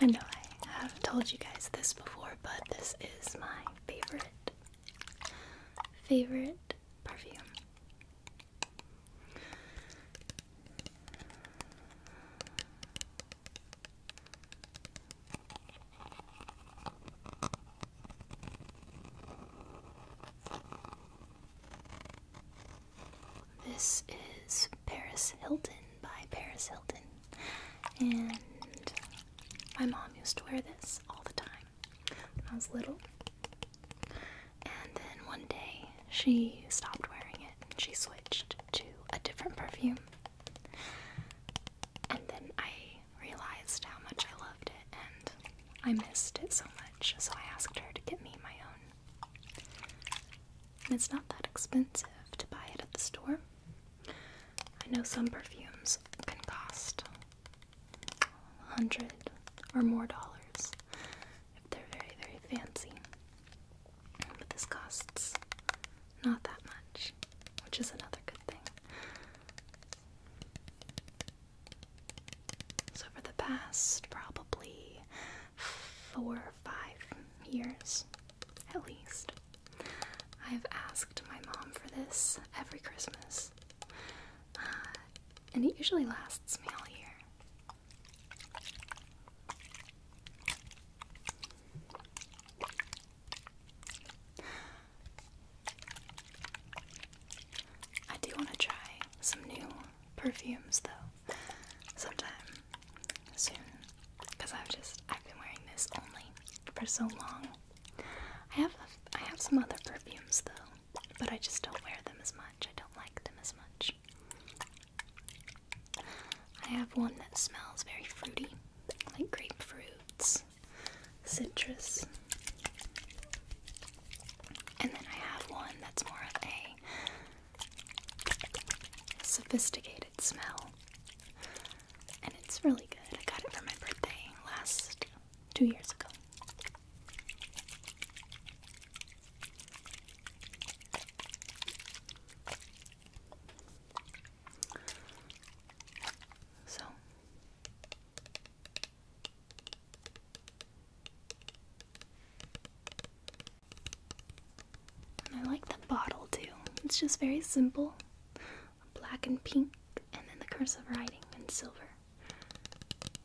I know I have told you guys this before, but this is my favorite, favorite perfume. This is Paris Hilton by Paris Hilton. And my mom used to wear this all the time when I was little. And then one day she stopped wearing it and she switched to a different perfume. And then I realized how much I loved it and I missed it so much, so I asked her to get me my own it's not that expensive to buy it at the store. I know some perfumes can cost a hundred or more dollars if they're very, very fancy. But this costs not that much, which is another good thing. So, for the past probably four or five years at least. I've asked my mom for this every Christmas, uh, and it usually lasts me all year. I do want to try some new perfumes though sometime soon because I've just I've been wearing this only for so long. I have a, I have some other perfumes though, but I just don't wear them as much. I don't like them as much. I have one that smells very fruity, like grapefruits, citrus. And then I have one that's more of a sophisticated smell. And it's really good. I got it for my birthday last two years ago. So I like the bottle too. It's just very simple black and pink, and then the cursive writing in silver.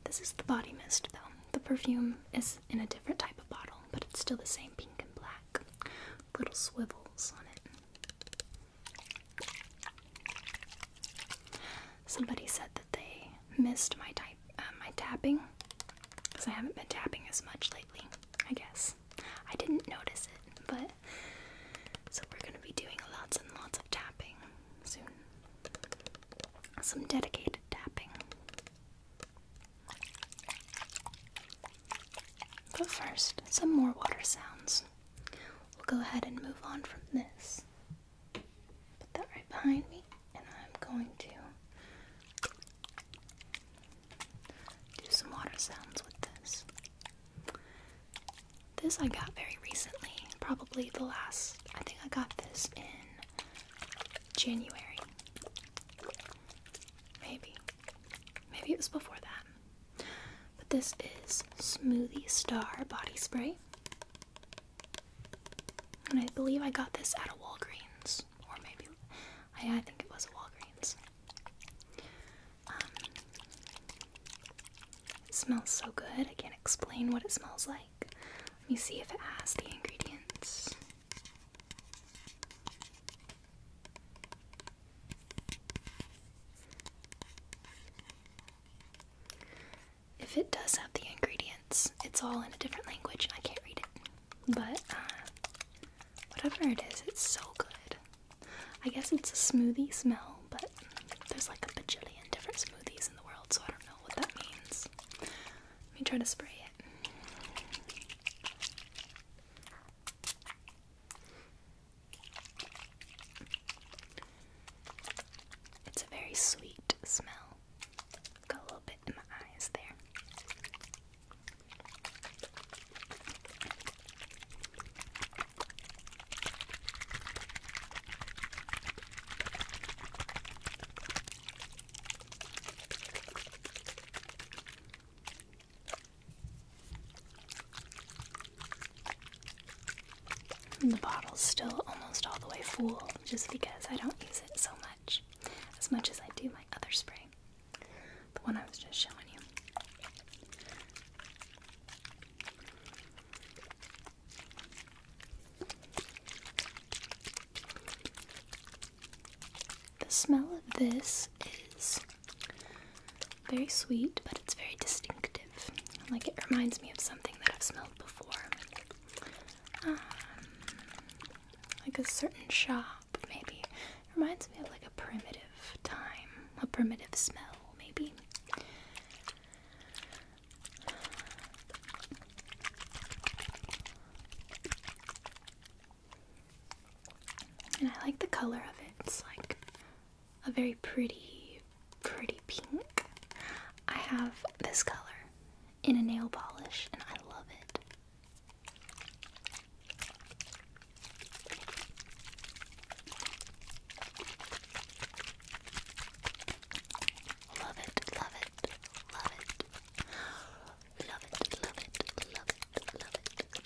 This is the body mist though. The perfume is in a different type of bottle, but it's still the same pink and black. Little swivels on it. Somebody said that they missed my type my uh, tapping because I haven't been tapping as much lately. I guess I didn't notice it, but so we're gonna be doing lots and lots of tapping soon. Some dedicated tapping. But first, some more water sounds. We'll go ahead and move on from this. Put that right behind me and I'm going to do some water sounds with this. This I got very recently, probably the last. I think I got this in January. Maybe. Maybe it was before that. But this is Smoothie Star Body Spray. And I believe I got this at a Walgreens or maybe I, think it was Walgreens. Um, it smells so good. I can't explain what it smells like. Let me see if it has the ingredients. If it does have the ingredients, it's all in a different language I can't read it. But uh, whatever it is, it's so good. I guess it's a smoothie smell, but there's like a bajillion different smoothies in the world, so I don't know what that means. Let me try to spray it. It's a very sweet smell. Got a little bit in my eyes there. the bottle's still almost all the way full just because I don't use it so much as much as I do my other spray. The one I was just showing you. The smell of this is very sweet, but it's very distinctive. Like it reminds me of something that I've smelled before. Um, like a certain shop, maybe. It reminds me of like a primitive time, a primitive smell, maybe. And I like the color of it. It's like a very pretty, pretty pink. I have this color in a nail polish and I love it. Love it, love it, love it. Love it, love it, love it, love it.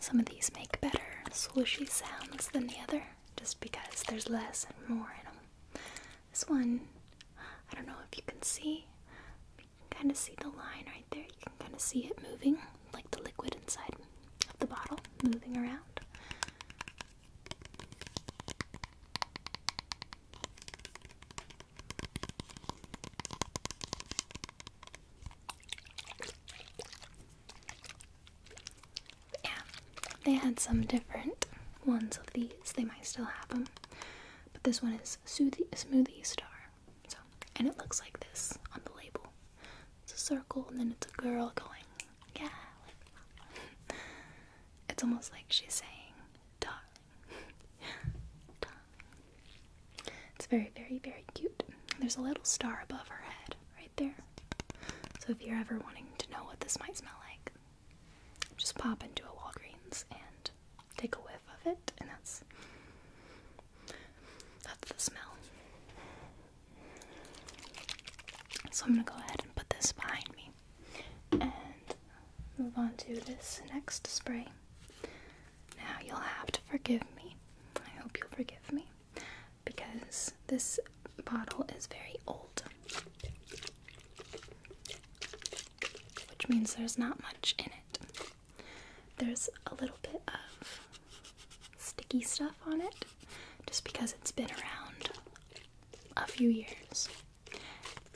Some of these make better swooshy sounds than the other just because there's less and more in them. This one, I don't know if you can see. You can kind of see the line right there. You can kind of see it moving, like the liquid inside of the bottle moving around yeah, they had some different ones of these. They might still have them, but this one is Soothie, Smoothie Star. So, and it looks like this on the label. It's a circle, and then it's a girl going, yeah. Like it's almost like she's saying, darling, darling. It's very, very, very cute. There's a little star above her head right there. So if you're ever wanting to know what this might smell like, just pop into a Walgreens and take a whiff of it, and that's that's the smell. So I'm gonna go ahead and put this behind me and move on to this next spray. Now you'll have to forgive me. I hope you'll forgive me because this bottle is very old which means there's not much in it. There's a little bit of sticky stuff on it just because it's been around a few years.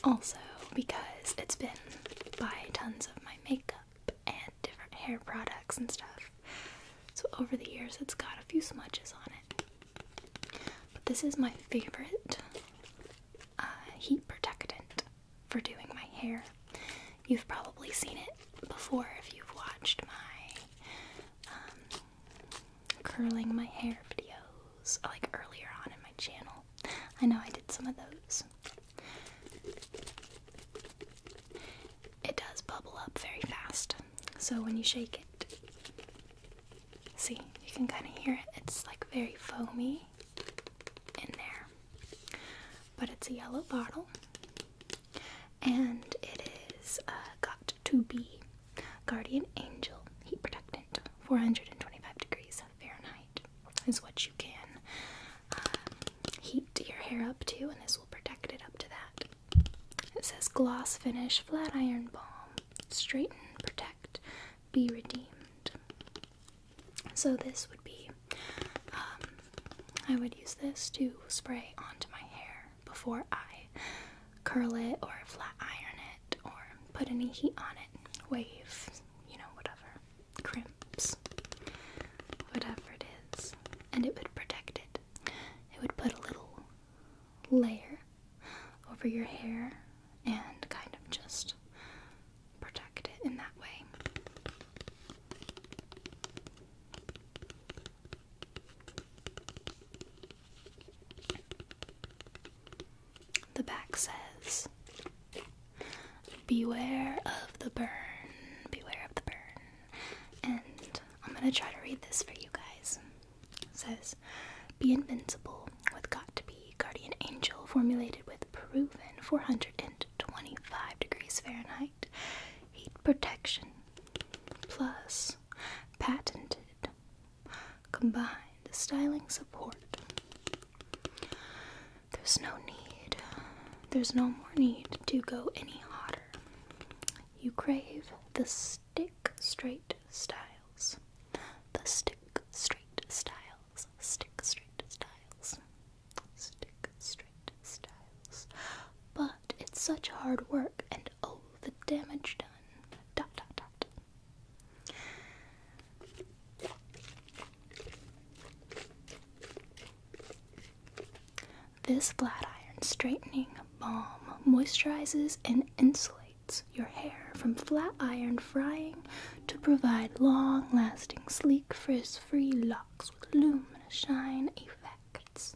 Also, because it's been by tons of my makeup and different hair products and stuff. So, over the years, it's got a few smudges on it. But this is my favorite uh, heat protectant for doing my hair. You've probably seen it before if you've watched my um, curling my hair videos, uh, like earlier on in my channel. I know I did some of those. It does bubble up very fast, so when you shake it, See, you can kind of hear it. It's like very foamy in there. But it's a yellow bottle and it is uh, got to be Guardian Angel Heat Protectant 425 degrees Fahrenheit is what you can um, heat your hair up to, and this will protect it up to that. It says gloss finish flat iron balm straighten, protect, be redeemed. So this would be, um, I would use this to spray onto my hair before I curl it or flat iron it or put any heat on it, wave, you know, whatever, crimps, whatever it is, and it would protect it. It would put a little layer over your hair and kind of just protect it in that way. The back says, Beware of the burn, beware of the burn. And I'm gonna try to read this for you guys says Be invincible with got to be guardian angel formulated with proven 425 degrees Fahrenheit heat protection plus patented combined styling support. There's no need, there's no more need to go any hotter. You crave the Stick Straight Styles. The Stick Straight Styles. Stick Straight Styles. Stick Straight Styles. But it's such hard work and oh, the damage done. Dot dot dot. This flat iron straightening balm moisturizes and insulates your hair from flat iron frying to provide long lasting, sleek, frizz free locks with luminous shine effects.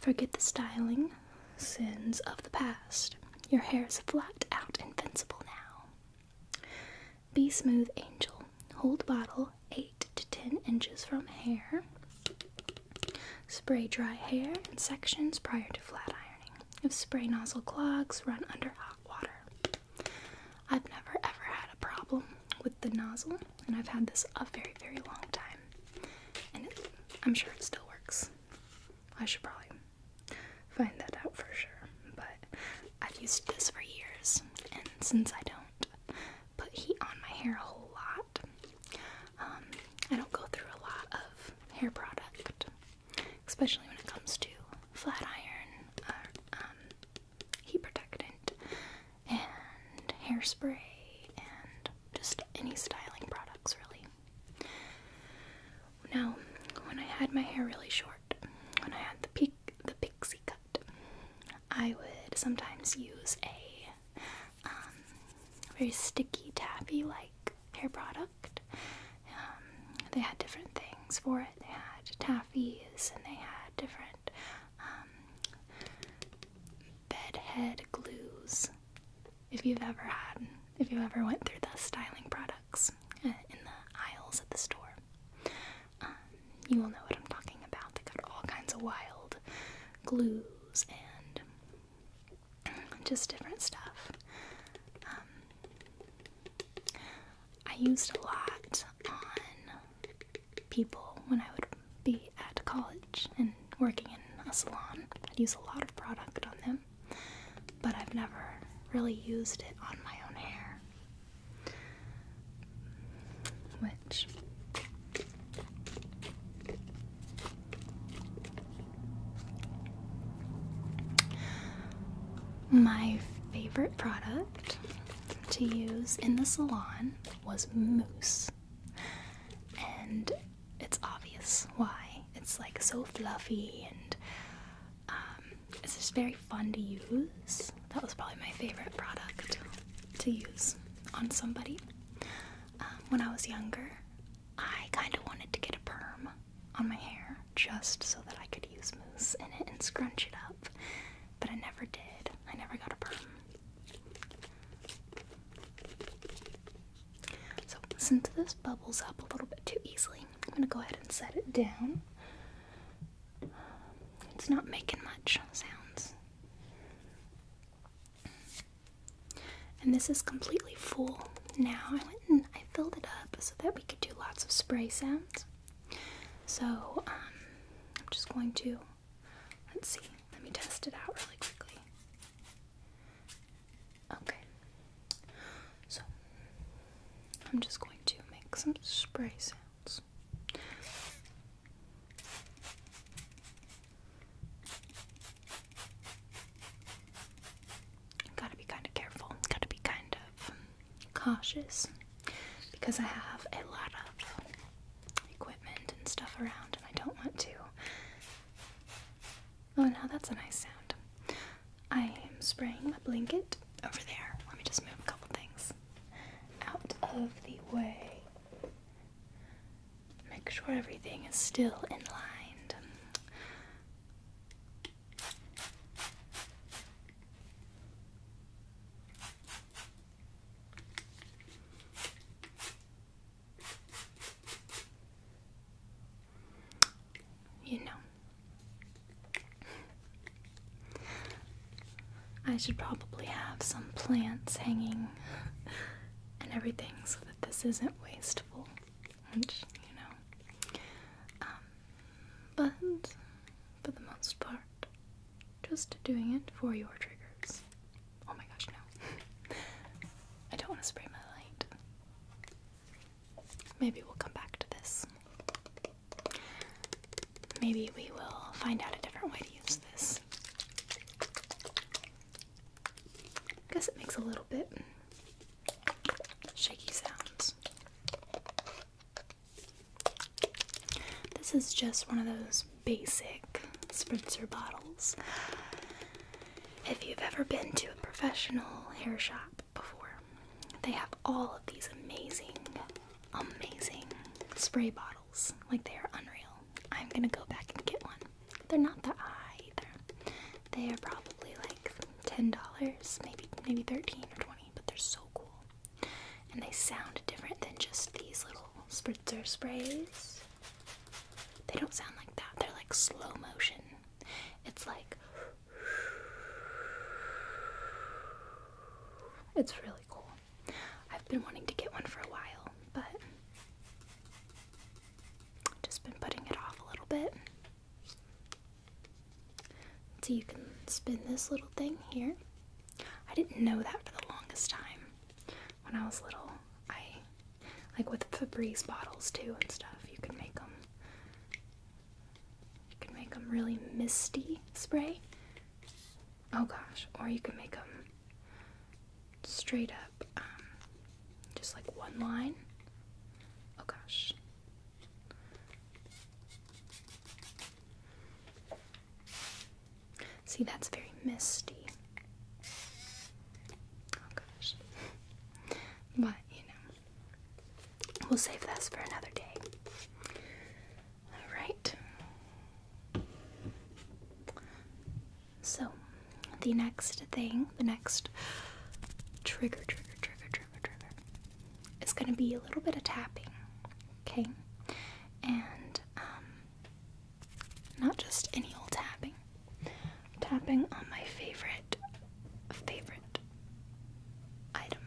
Forget the styling sins of the past. Your hair is flat out invincible now. Be Smooth Angel. Hold bottle 8 to 10 inches from hair. Spray dry hair in sections prior to flat ironing. If spray nozzle clogs, run under hot water. I've never ever had a problem with the nozzle, and I've had this a very, very long time. And I'm sure it still works. I should probably find that out for sure. But I've used this for years, and since I don't put heat on my hair a whole lot, um, I don't go through a lot of hair product, especially when it comes to flat iron um, heat protectant and hairspray and just any styling products, really. Now, when I had my hair really short, when I had the peak, the pixie cut, I would sometimes use a um, very sticky, taffy like hair product. Um, they had different things for it. They had taffies and they had different um, bed head glues. If you've ever had, if you ever went through the styling products uh, in the aisles of the store, you will know what I'm talking about. They got all kinds of wild glues and just different stuff. Um, I used a lot on people when I would be at college and working in a salon. I'd use a lot of product on them, but I've never really used it on my own hair. Which my favorite product to use in the salon was mousse. And it's obvious why. It's like so fluffy and um, it's just very fun to use. That was probably my favorite product to use on somebody. Um, when I was younger, I kind of wanted to get a perm on my hair just so that I could use mousse in it and scrunch it up, but I never did. I never got a perm. So, since this bubbles up a little bit too easily, I'm going to go ahead and set it down. It's not making much sounds. And this is completely full now. I went and I filled it up so that we could do lots of spray sounds. So um, I'm just going to, let's see, let me test it out really quickly. Okay, so I'm just going to make some spray sounds. Gotta be kind of careful, gotta be kind of cautious because I have a lot of equipment and stuff around, and I don't want to. Oh, now that's a nice sound. I am spraying my blanket over there. Let me just move a couple things out of the way. Make sure everything is still in line. You know, I should probably have some plants hanging and everything so that this isn't wasteful which you know. Um, but for the most part, just doing it for your triggers. Oh my gosh, no! I don't want to spray my light. Maybe we'll come back to this. Maybe we will find out a different way to use this. I guess it makes a little bit shaky sounds. This is just one of those basic spritzer bottles. If you've ever been to a professional hair shop before, they have all of these amazing, amazing spray bottles. Like they are unreal. I'm gonna go back and get one. They're not that high either. They are probably like ten dollars, maybe maybe thirteen or twenty, but they're so cool. And they sound different than just these little spritzer sprays. They don't sound like that. They're like slow motion. It's like it's really cool. I've been wanting to get one for a while, but just been putting it off a little bit. So you can spin this little thing here. I didn't know that for the longest time. When I was little, I like with Febreze bottles too and stuff. You can make them. You can make them really misty spray. Oh gosh, or you can make them straight up, um, just like one line. Oh gosh. See, that's very misty. Oh gosh. But, you know, we'll save this for another day. Alright. So, the next thing, the next trigger, trigger, trigger, trigger, trigger, is going to be a little bit of tapping, okay? And um, not just any old tapping, tapping on my favorite, favorite item,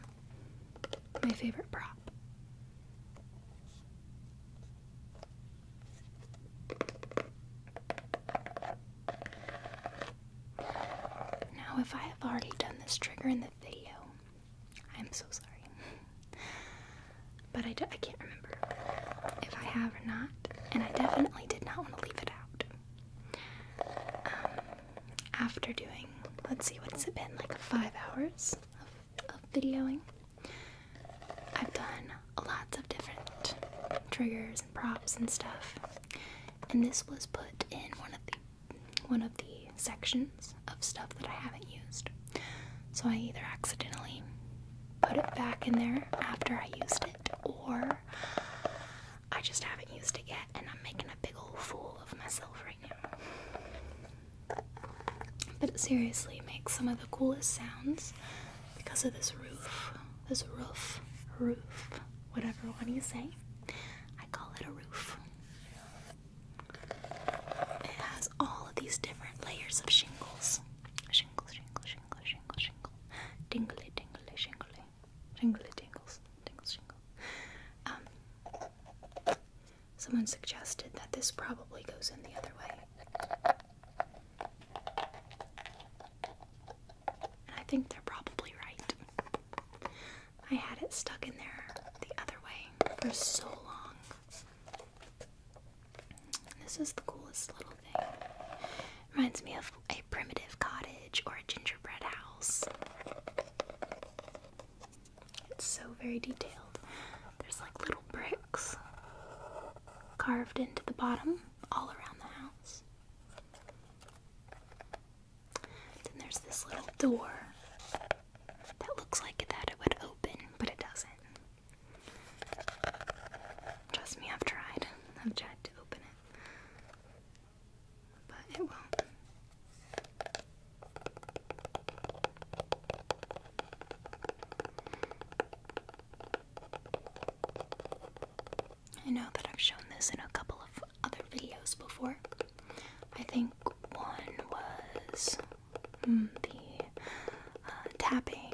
my favorite prop. Now, if I have already done this trigger in the video, I'm so sorry. but I, do, I can't remember if I have or not, and I definitely did not want to leave it out. Um, after doing, let's see, what's it been, like five hours of videoing? I've done lots of different triggers props and stuff. And this was put in one of the one of the sections of stuff that I haven't used. So I either accidentally put it back in there after I used it or I just haven't used it yet and I'm making a big old fool of myself right now. But it seriously makes some of the coolest sounds because of this roof. This roof, roof, whatever one you say. I call it a roof. It has all of these different layers of shingles. Shingle, shingle, shingle, shingle, shingle. Dingly, dingly, shingly. Jingly tingles. Tingles, shingle. Um, someone suggested that this probably goes in the other way. I think they're probably right. I had it stuck in there the other way for so long. This is the coolest little thing. Reminds me of a primitive cottage or a gingerbread house. It's so very detailed. There's like little bricks carved into the bottom all around the house. Then there's this little door that looks like that it would open, but it doesn't. Trust me, I've tried. I've tried to open it, but it won't. I know that I've shown this in a couple of other videos before. I think one was hmm, the uh, tapping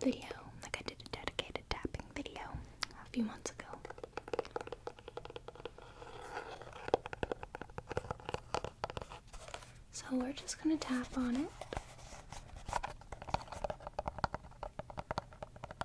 video. Like, I did a dedicated tapping video a few months ago. So, we're just gonna tap on it.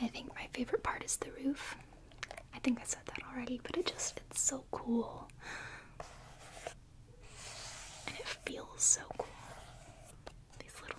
I think my favorite part is the roof. I think I said that already, but it just it's so cool. And it feels so cool. These little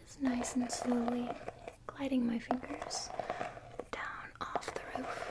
Just nice and slowly gliding my fingers down off the roof.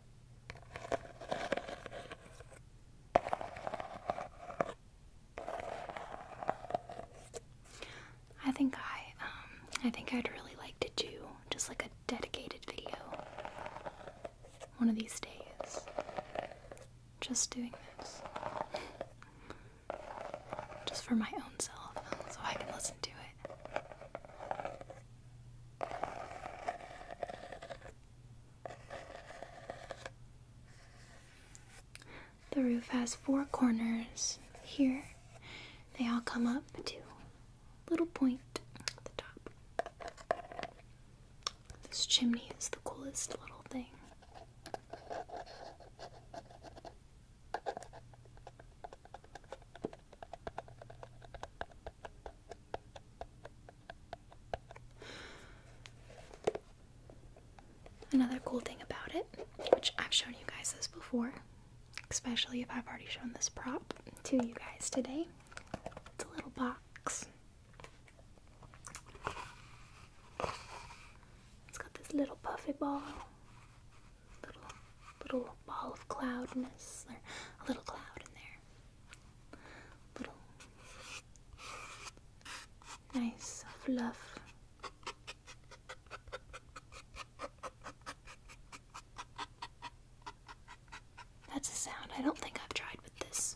I think I, um, I think I'd really like to do just like a dedicated video one of these days. Just doing this. Just for my own self, so I can listen to it. The roof has four corners here. They all come up to little point at the top. This chimney is the coolest little thing. Another cool thing about it, which I've shown you guys this before, especially if I've already shown this prop to you guys today, it's a little box. It's got this little puffy ball, little little ball of cloudness, or a little cloud in there little nice fluff. That's a sound I don't think I've tried with this.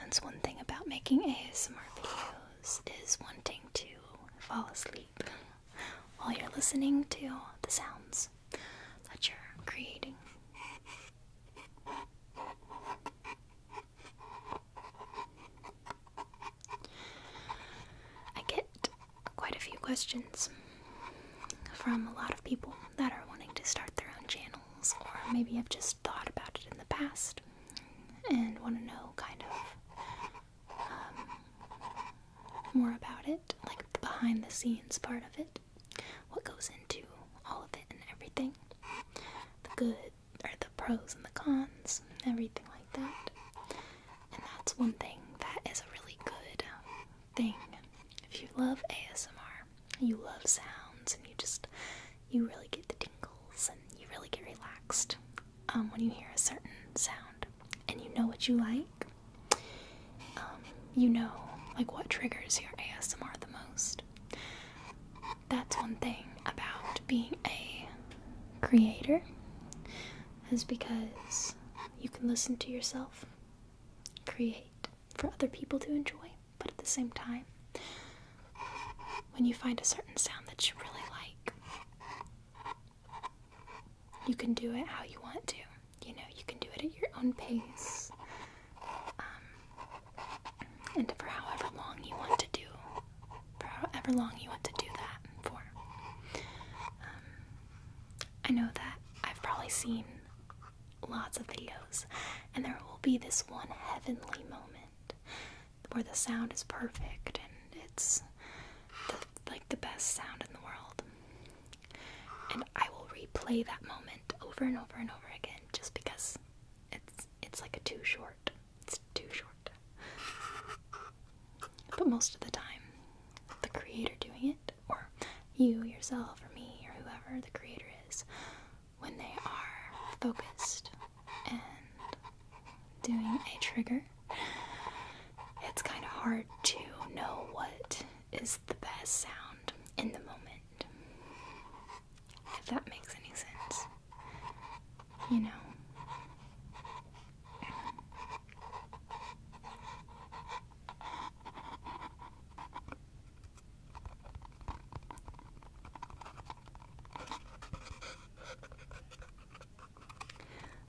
That's one thing about making ASMR videos is wanting to fall asleep while you're listening to the sounds that you're creating. I get quite a few questions from a lot of people that are wanting to start their own channels or maybe have just thought about it in the past and want to know kind of um, more about it, like the behind the scenes part of it, what goes into all of it and everything, the good or the pros and the cons, everything like that. And that's one thing that is a really good um, thing. If you love ASMR, you love sounds, and you just you really get the tingles and you really get relaxed um, when you hear a certain sound and you know what you like. Um, you know like what triggers your ASMR the most. That's one thing about being a creator is because you can listen to yourself create for other people to enjoy, but at the same time, when you find a certain sound that you really like, you can do it how you want to. You know, you can do it at your own pace um, and for however long you want to do, for however long you want to do that for. Um, I know that I've probably seen lots of videos, and there will be this one heavenly moment where the sound is perfect and it's like the best sound in the world. And I will replay that moment over and over and over again just because it's it's like a too short. It's too short. But most of the time, the creator doing it or you, yourself, or me, or whoever the creator is, when they are focused and doing a trigger, it's kind of hard to know what is the best sound in the moment. If that makes any sense. You know.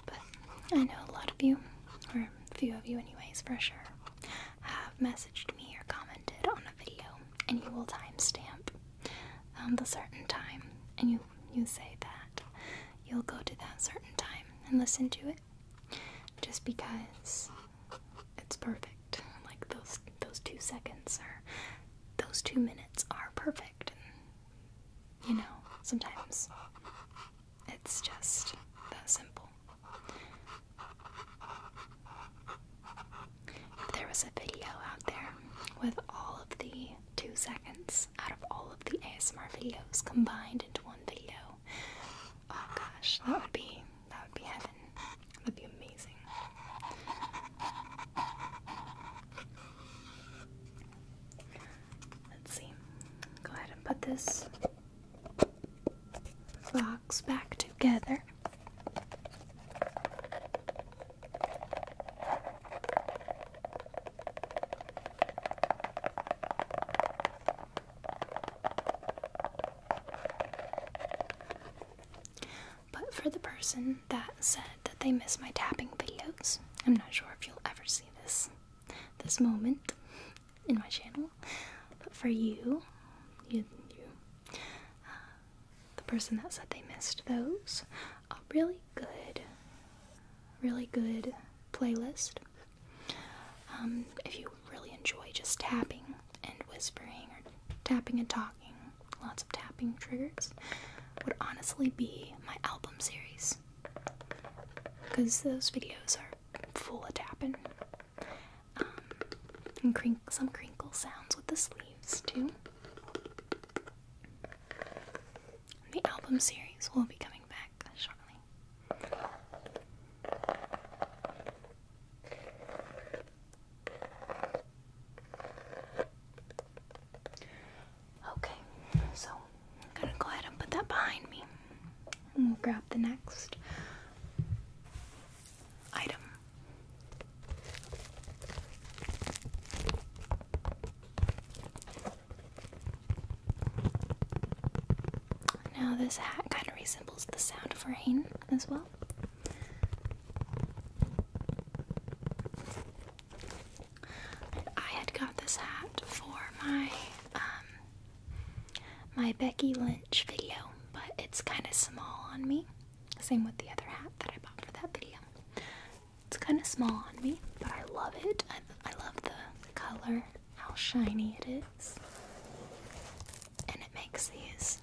But I know a lot of you, or a few of you, anyways, for sure, have messaged me or commented on a video, and you will timestamp um, the certain time, and you you say that you'll go to that certain time and listen to it just because it's perfect. Like those those two seconds are those two minutes are perfect. And, you know, sometimes it's just that simple. If there was a video out there with all of the two seconds out of all of the ASMR videos combined into one video, oh gosh, that would be that would be heaven. That'd be amazing. Let's see. Go ahead and put this box back together. But for the person that said that they missed my tapping videos, I'm not sure if you'll ever see this this moment in my channel. But for you, you, uh, the person that said they missed those, a really good, really good playlist um, if you really enjoy just tapping and whispering or tapping and talking, lots of tapping triggers, would honestly be my album series. Because those videos are full of tapping. Um, and some crinkle sounds with the sleeves, too. the album series will be coming back shortly. Okay, so I'm gonna go ahead and put that behind me. And we'll grab the next item. Now, this hat kind of resembles the sound of rain as well. I had got this hat for my um, my Becky Lynch video, but it's kind of small on me. Same with the other hat that I bought for that video. It's kind of small on me, but I love it. I love the color, how shiny it is and it makes these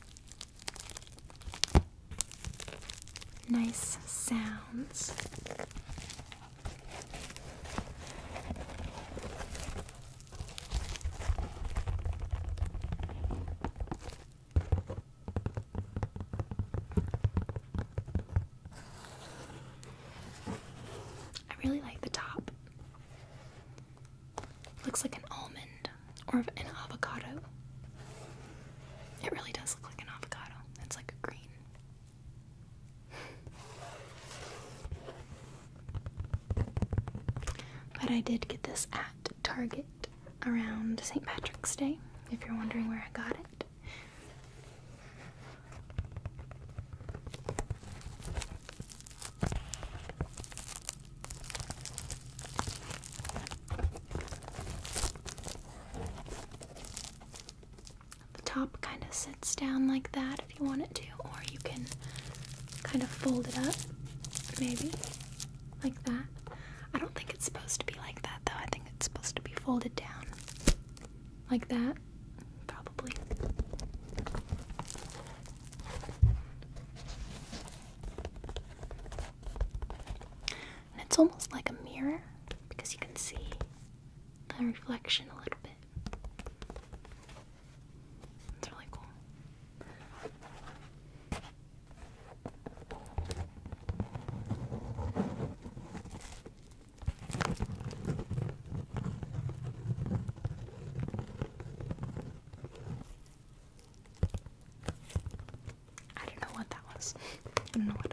nice sounds. I really like the top. Looks like an almond or an avocado. It really does look like an avocado. It's like a green. But I did get this at Target around St. Patrick's Day, if you're wondering where I got it. The top kind of sits down like that if you want it to, or you can kind of fold it up, maybe like that. I don't think it's supposed to be like that though, I think it's supposed to be folded down like that it's almost like a mirror because you can see the reflection a little bit. It's really cool. I don't know what that was. I don't know what it is.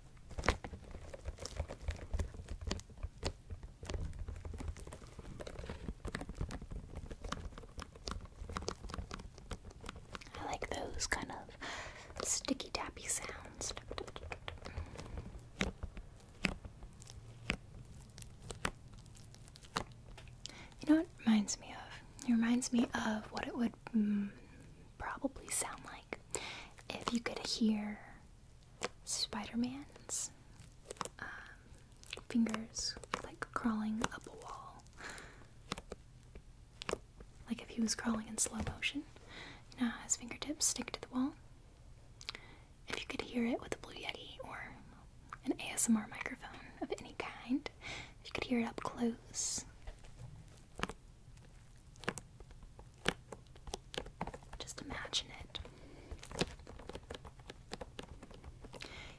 I like those kind of sticky tappy sounds. You know what it reminds me of? It reminds me of what it would mm, probably sound like if you could hear Spider Man's um, fingers like crawling up a wall. Like if he was crawling in slow motion. You know his fingertips stick to the wall? If you could hear it with a Blue Yeti or an ASMR microphone of any kind, if you could hear it up close. Just imagine it.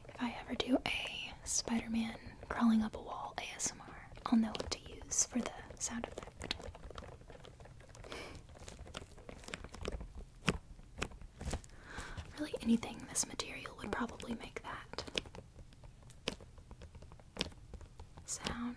If I ever do a Spider Man crawling up a wall ASMR, I'll know what to use for the sound effect. Really, anything this material would probably make that sound.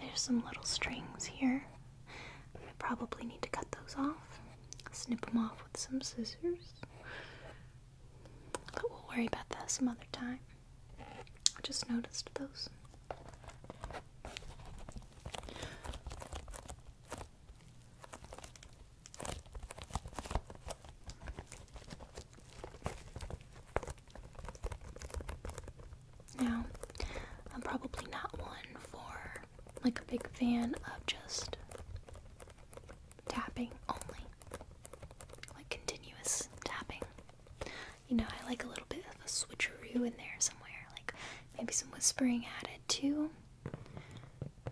There's some little strings here. I probably need to cut those off. Snip them off with some scissors. But we'll worry about that some other time. I just noticed those. Now, I'm probably not one for like a big fan of just tapping only, like continuous tapping. You know, I like a little bit of a switcheroo in there somewhere, like maybe some whispering added too,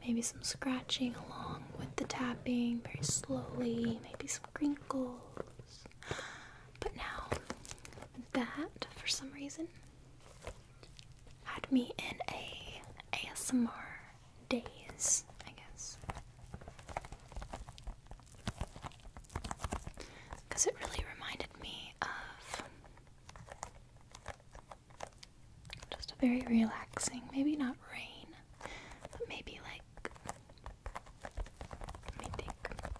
maybe some scratching along with the tapping very slowly, maybe Crinkles, But now, that for some reason had me in a ASMR days, I guess. Because it really reminded me of just a very relaxing, maybe not rain, maybe like let me think.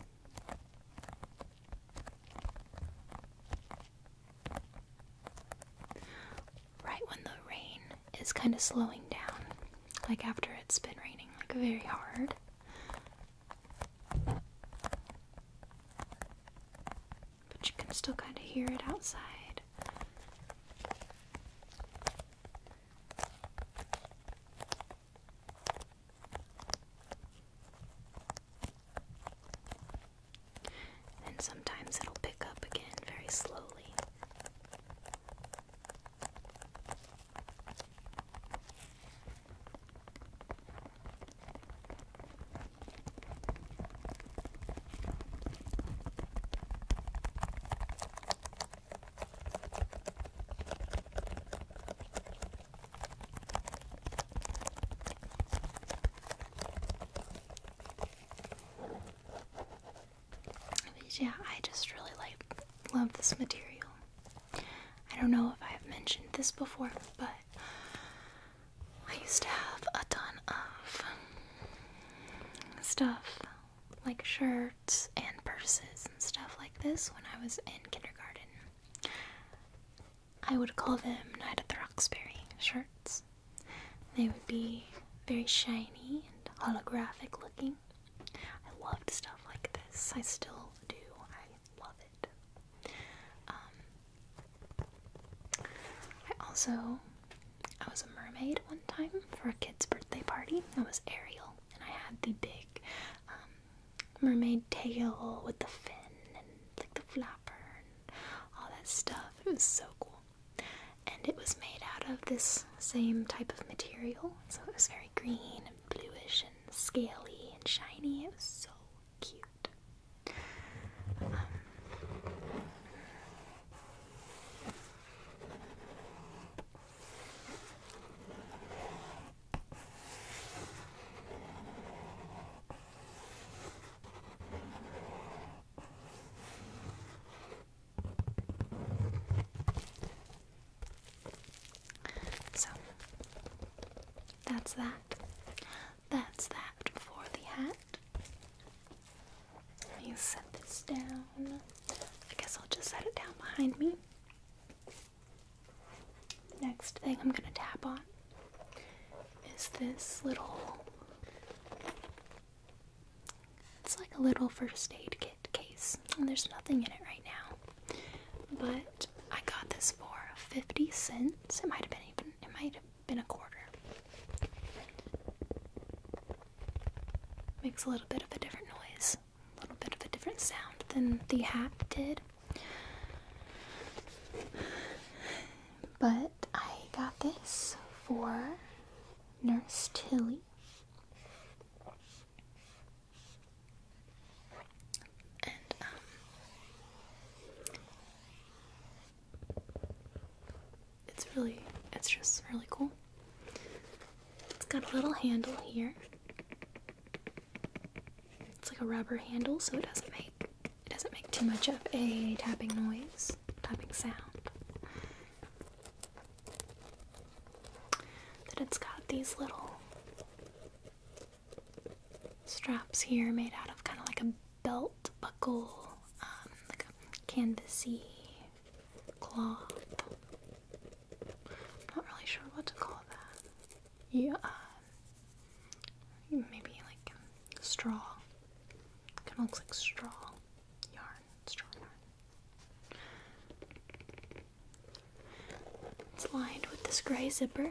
Right when the rain is kind of slowing down, like after it's been raining like very hard. But you can still kind of hear it outside. And sometimes it'll pick up again very slowly yeah, I just really like love this material. I don't know if I have mentioned this before, but I used to have a ton of stuff like shirts and purses and stuff like this when I was in kindergarten. I would call them Night at the Roxbury shirts. They would be very shiny and holographic looking. I loved stuff like this. I still do. I love it. Um, I also I was a mermaid one time for a kid's birthday party. I was Ariel, and I had the big um, mermaid tail with the fin and like the flapper and all that stuff. It was so cool. And it was made out of this same type of material, so it was very green and bluish and scaly and shiny. It was so cute. Um, so that's that. That's that for the hat. Let me set this down. I guess I'll just set it down behind me. Next thing I'm gonna tap on is this little. It's like a little first aid kit case. And there's nothing in it right now. But I got this for 50 cents. It might have been even it might have been a quarter. Makes a little bit of a different noise, a little bit of a different sound than the hat did. But I got this for Nurse Tilly. And, um, it's really it's just really cool. It's got a little handle here. It's like a rubber handle so it doesn't make it doesn't make too much of a tapping noise, tapping sound. That it's got these little straps here made out of kind of like a belt buckle, um, like a canvasy cloth. I'm not really sure what to call that. Yeah, uh, maybe like um, straw. Kind of looks like straw yarn, straw yarn. It's lined with this gray zipper.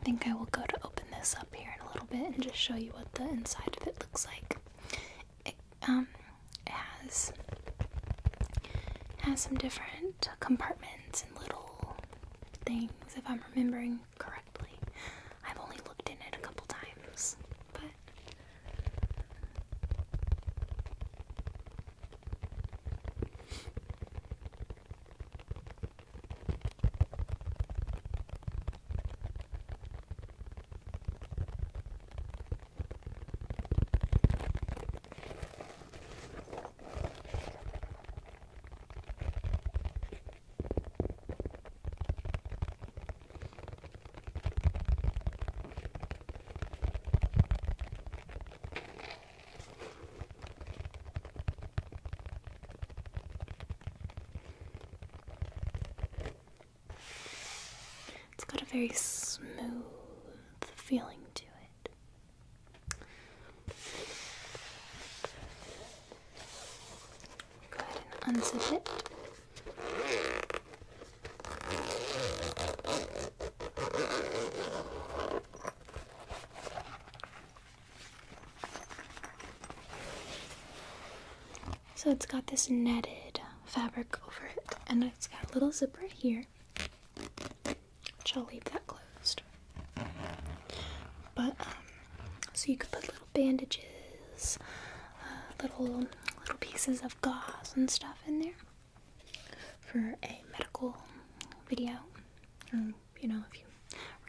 I think I will go to open this up here in a little bit and just show you what the inside of it looks like. It, um, has has some different compartments and little things, if I'm remembering correctly. I've only looked in it a couple times, but. It's got a very smooth feeling to it. Go ahead and unzip it. So it's got this netted fabric over it, and it's got a little zipper here which I'll leave that closed. But um, so you could put little bandages, uh, little little pieces of gauze and stuff in there for a medical video, or um, you know, if you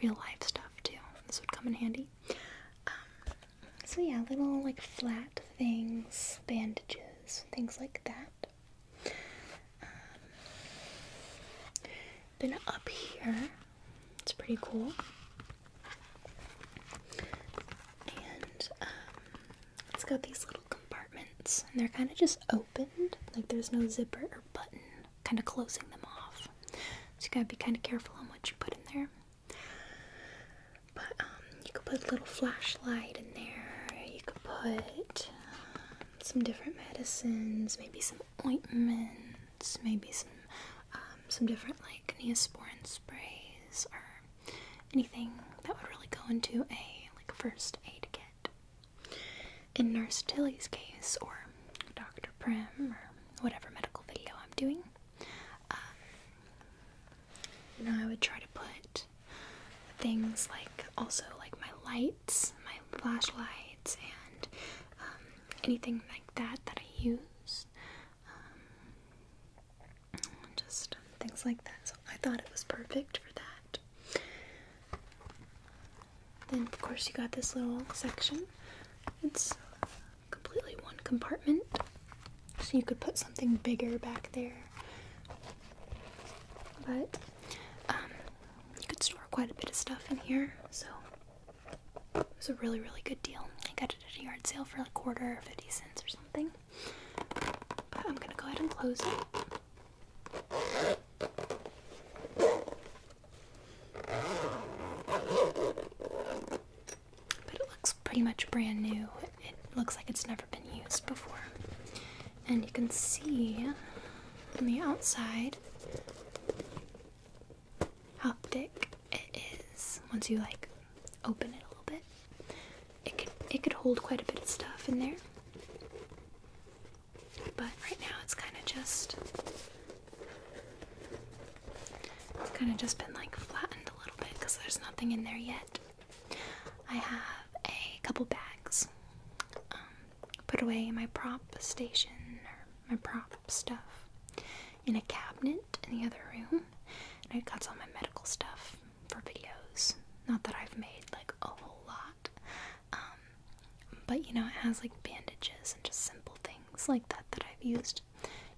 real life stuff too. This would come in handy. Um, so yeah, little like flat things, bandages, things like that then um, up here, it's pretty cool. And um, it's got these little compartments, and they're kind of just opened, like there's no zipper or button, kind of closing them off. So you gotta be kind of careful on what you put in there. But um, you could put a little flashlight in there. You could put some different medicines, maybe some ointments, maybe some um, some different like neosporin sprays or anything that would really go into a like first aid kit. In Nurse Tilly's case, or Dr. Prim, or whatever medical video I'm doing, um, I would try to put things like also like my lights, my flashlights, and um, anything like that that I use. Um, just things like that. So I thought it was perfect for that. Then, of course, you got this little section. It's completely one compartment. So you could put something bigger back there but um, you could store quite a bit of stuff in here, so it was a really, really good deal. I got it at a yard sale for a quarter or 50 cents or something. But I'm gonna go ahead and close it. But it looks pretty much brand new. It looks like it's never been used before and you can see on the outside how thick it is once you like open it a little bit. It could it could hold quite a bit of stuff in there. But right now it's kind of just it's kind of just been like flattened a little bit because there's nothing in there yet. I have a couple bags um, put away my prop station or my prop stuff in a cabinet in the other room. I've got some of my medical stuff for videos. Not that I've made like a whole lot. Um, but you know, it has like bandages and just simple things like that that I've used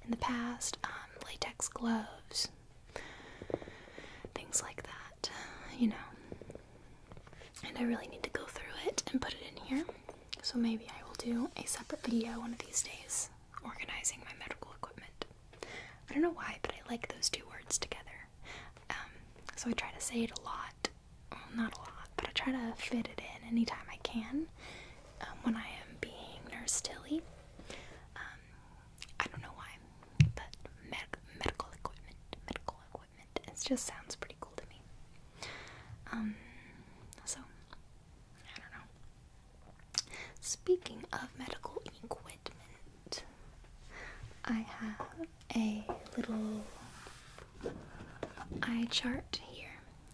in the past. Um, latex gloves, things like that. You know, and I really need to go through it and put it in here. So maybe I will do a separate video one of these days organizing my medical equipment. I don't know why, but I like those two words together. Um, so I try to say it a lot. Well, not a lot, but I try to fit it in anytime I can um, when I am being Nurse Tilly. Um, I don't know why, but medical equipment, medical equipment. It just sounds pretty cool to me. Um, so I don't know. Speaking of medical equipment, I have a little eye chart here,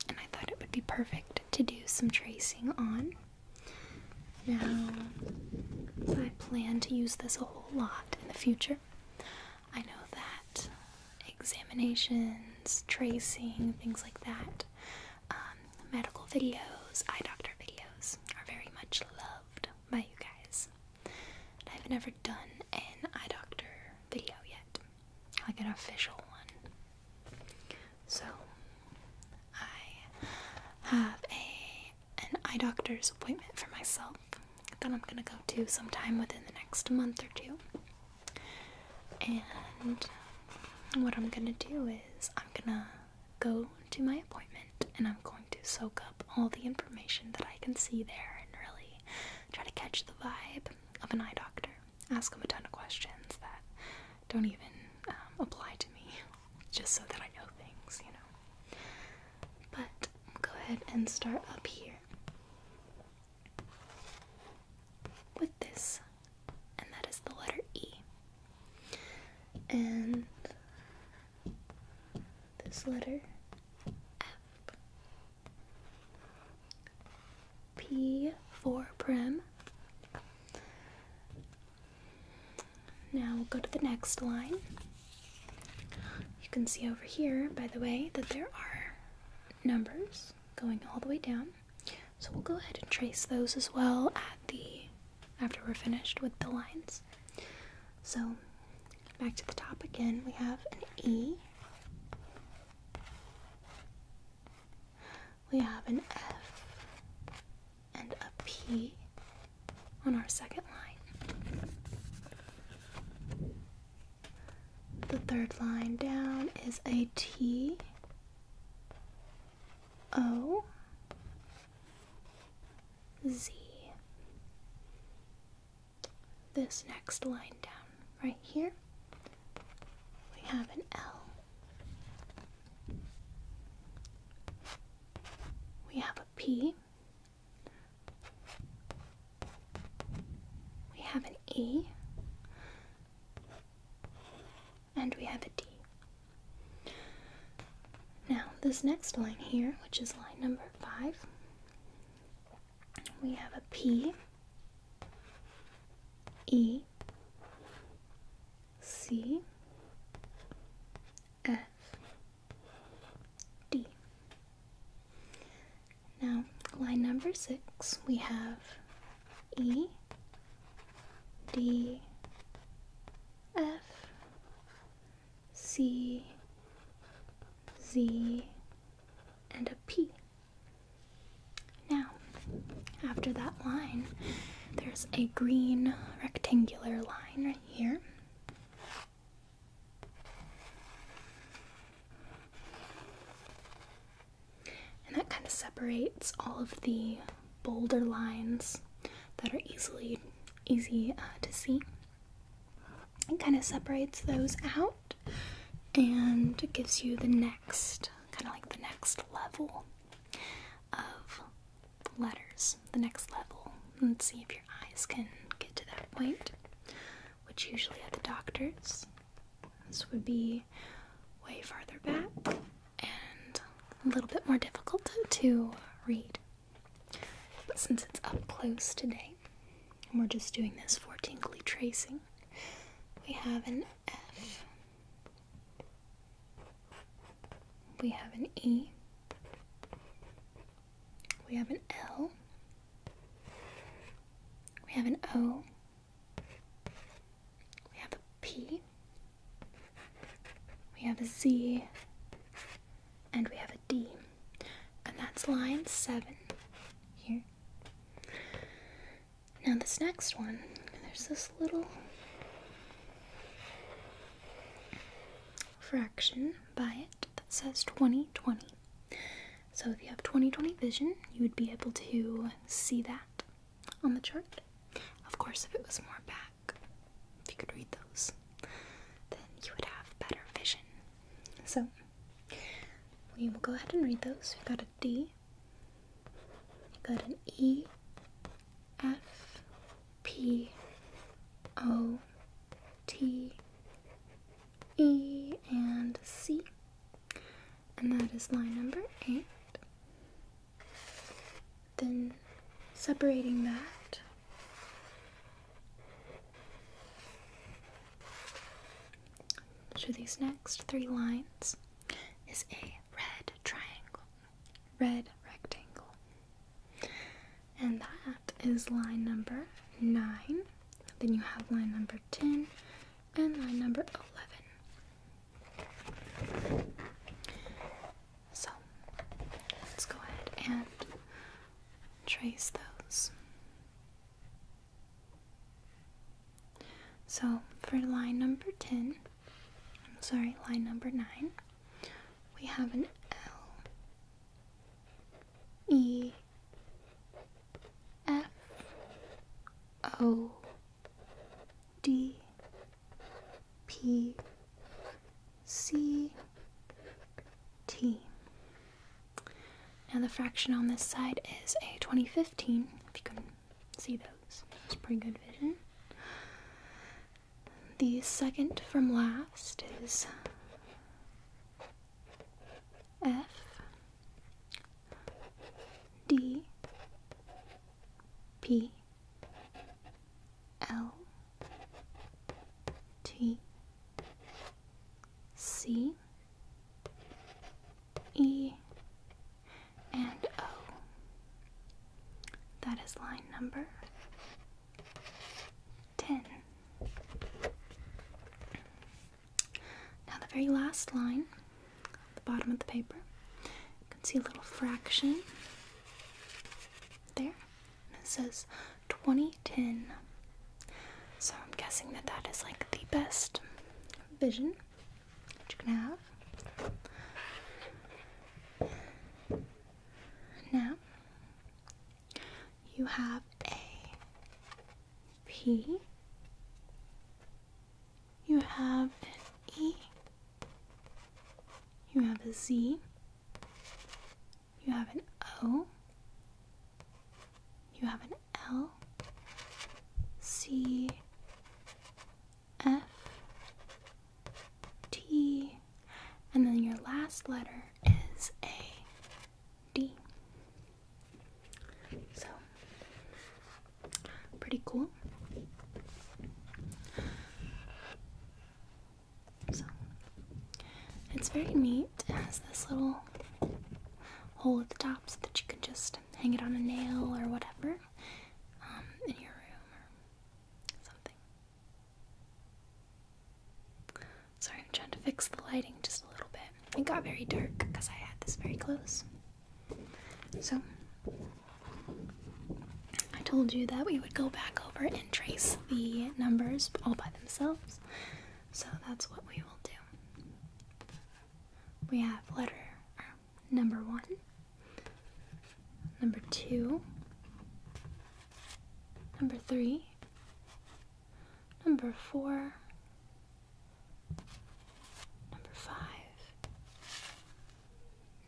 and I thought it would be perfect to do some tracing on. Now, I plan to use this a whole lot, in the future. I know that examinations, tracing, things like that, um, medical videos, eye doctor videos are very much loved by you guys. I've never done an eye doctor video yet, like an official one. So I have a an eye doctor's appointment for myself that I'm gonna go to sometime within the next month or two. And what I'm gonna do is, I'm gonna go to my appointment and I'm going to soak up all the information that I can see there and really try to catch the vibe of an eye doctor. Ask them a ton of questions that don't even um, apply to me, just so that I know things, you know. But go ahead and start up here with this, and that is the letter E. And this letter F. P P four prime. Now we'll go to the next line. You can see over here, by the way, that there are numbers going all the way down. So we'll go ahead and trace those as well at the after we're finished with the lines. So back to the top again, we have an E. We have an F and a P on our second line. The third line down is a T O Z. This next line down right here, we have an L. We have a P we have an E. And we have a D. Now, this next line here, which is line number five, we have a P, E, C, F, D. Now, line number six, we have E, D, F, C, Z, and a P. Now, after that line, there's a green rectangular line right here. And that kind of separates all of the bolder lines that are easily easy uh, to see. It kind of separates those out and gives you the next kind of like the next level of letters, the next level, Let's see if your eyes can get to that point, which usually at the doctor's. This would be way farther back and a little bit more difficult to read. But since it's up close today, and we're just doing this for tingly tracing, we have an F, we have an E, we have an L. We have an O. We have a P. We have a Z. And we have a D. And that's line 7 here. Now this next one, there's this little fraction by it that says 2020. So if you have 2020 vision, you would be able to see that on the chart. Of course, if it was more back, if you could read those, then you would have better vision. So we will go ahead and read those. We got a D, we got an E, F, P O T E and C. And that is line number 8. Then separating that to these next three lines is a red triangle, red rectangle and that is line number 9. Then you have line number 10 and line number 11. So let's go ahead and trace those. So for line number 10, sorry, line number 9, we have an L E F O D P C T. Now the fraction on this side is a 2015, if you can see those. that's pretty good vision. The second from last is F D P L T C E and O. That is line number 10. Now, the very last line the bottom of the paper, you can see a little fraction there, and it says 2010. So, I'm guessing that that is like the best vision that you can have. Now, you have a P, you have an E, you have a Z, you have an O, you have an L, C, F, T, and then your last letter is a D. So, pretty cool. So, it's very neat. It has this little hole at the top so that you can just hang it on a nail or whatever um, in your room or something. Sorry, I'm trying to fix the lighting just a little bit. It got very dark because I had this very close. So, I told you that we would go back over and trace the numbers all by themselves. So, that's what we will do. We have letter uh, number one, number two, number three, number four, number five,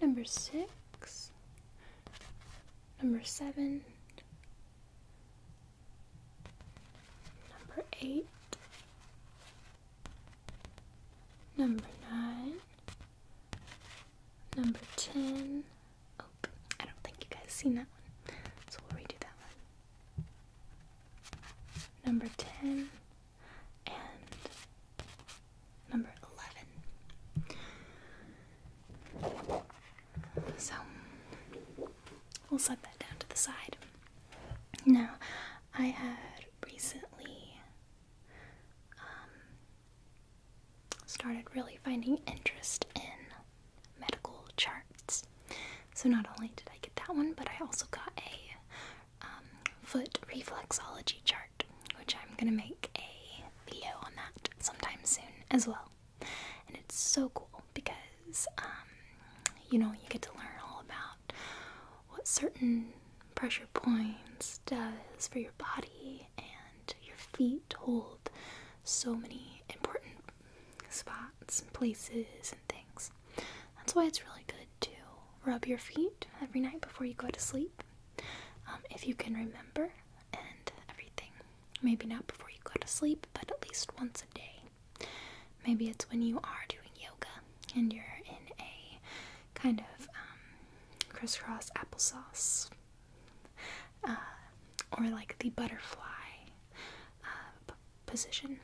number six, number seven, number eight. Number nine, number ten, I don't think you guys seen that one. So we'll redo that one. Number 10 and number 11. So we'll set that down to the side. Now, I had recently um, started really finding interest in medical charts. So not only did I get that one, but I also got a um, foot reflexology chart, which I'm gonna make a video on that sometime soon as well. And it's so cool because um, you know you get to learn all about what certain pressure points does for your body and your feet hold so many important spots and places and things. That's why it's really good to rub your feet every night before you go to sleep, um, if you can remember and everything. Maybe not before you go to sleep, but at least once a day. Maybe it's when you are doing yoga and you're in a kind of um, crisscross applesauce uh, or like the butterfly uh, position,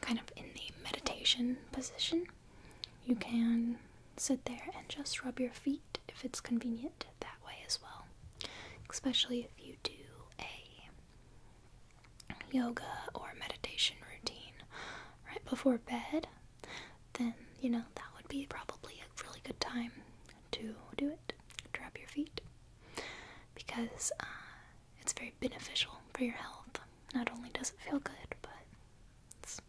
kind of in the meditation position. You can sit there and just rub your feet if it's convenient that way as well, especially if you do a yoga or meditation routine right before bed. Then you know that would be probably a really good time to do it. rub your feet because uh, it's very beneficial for your health. Not only does it feel good, but it's,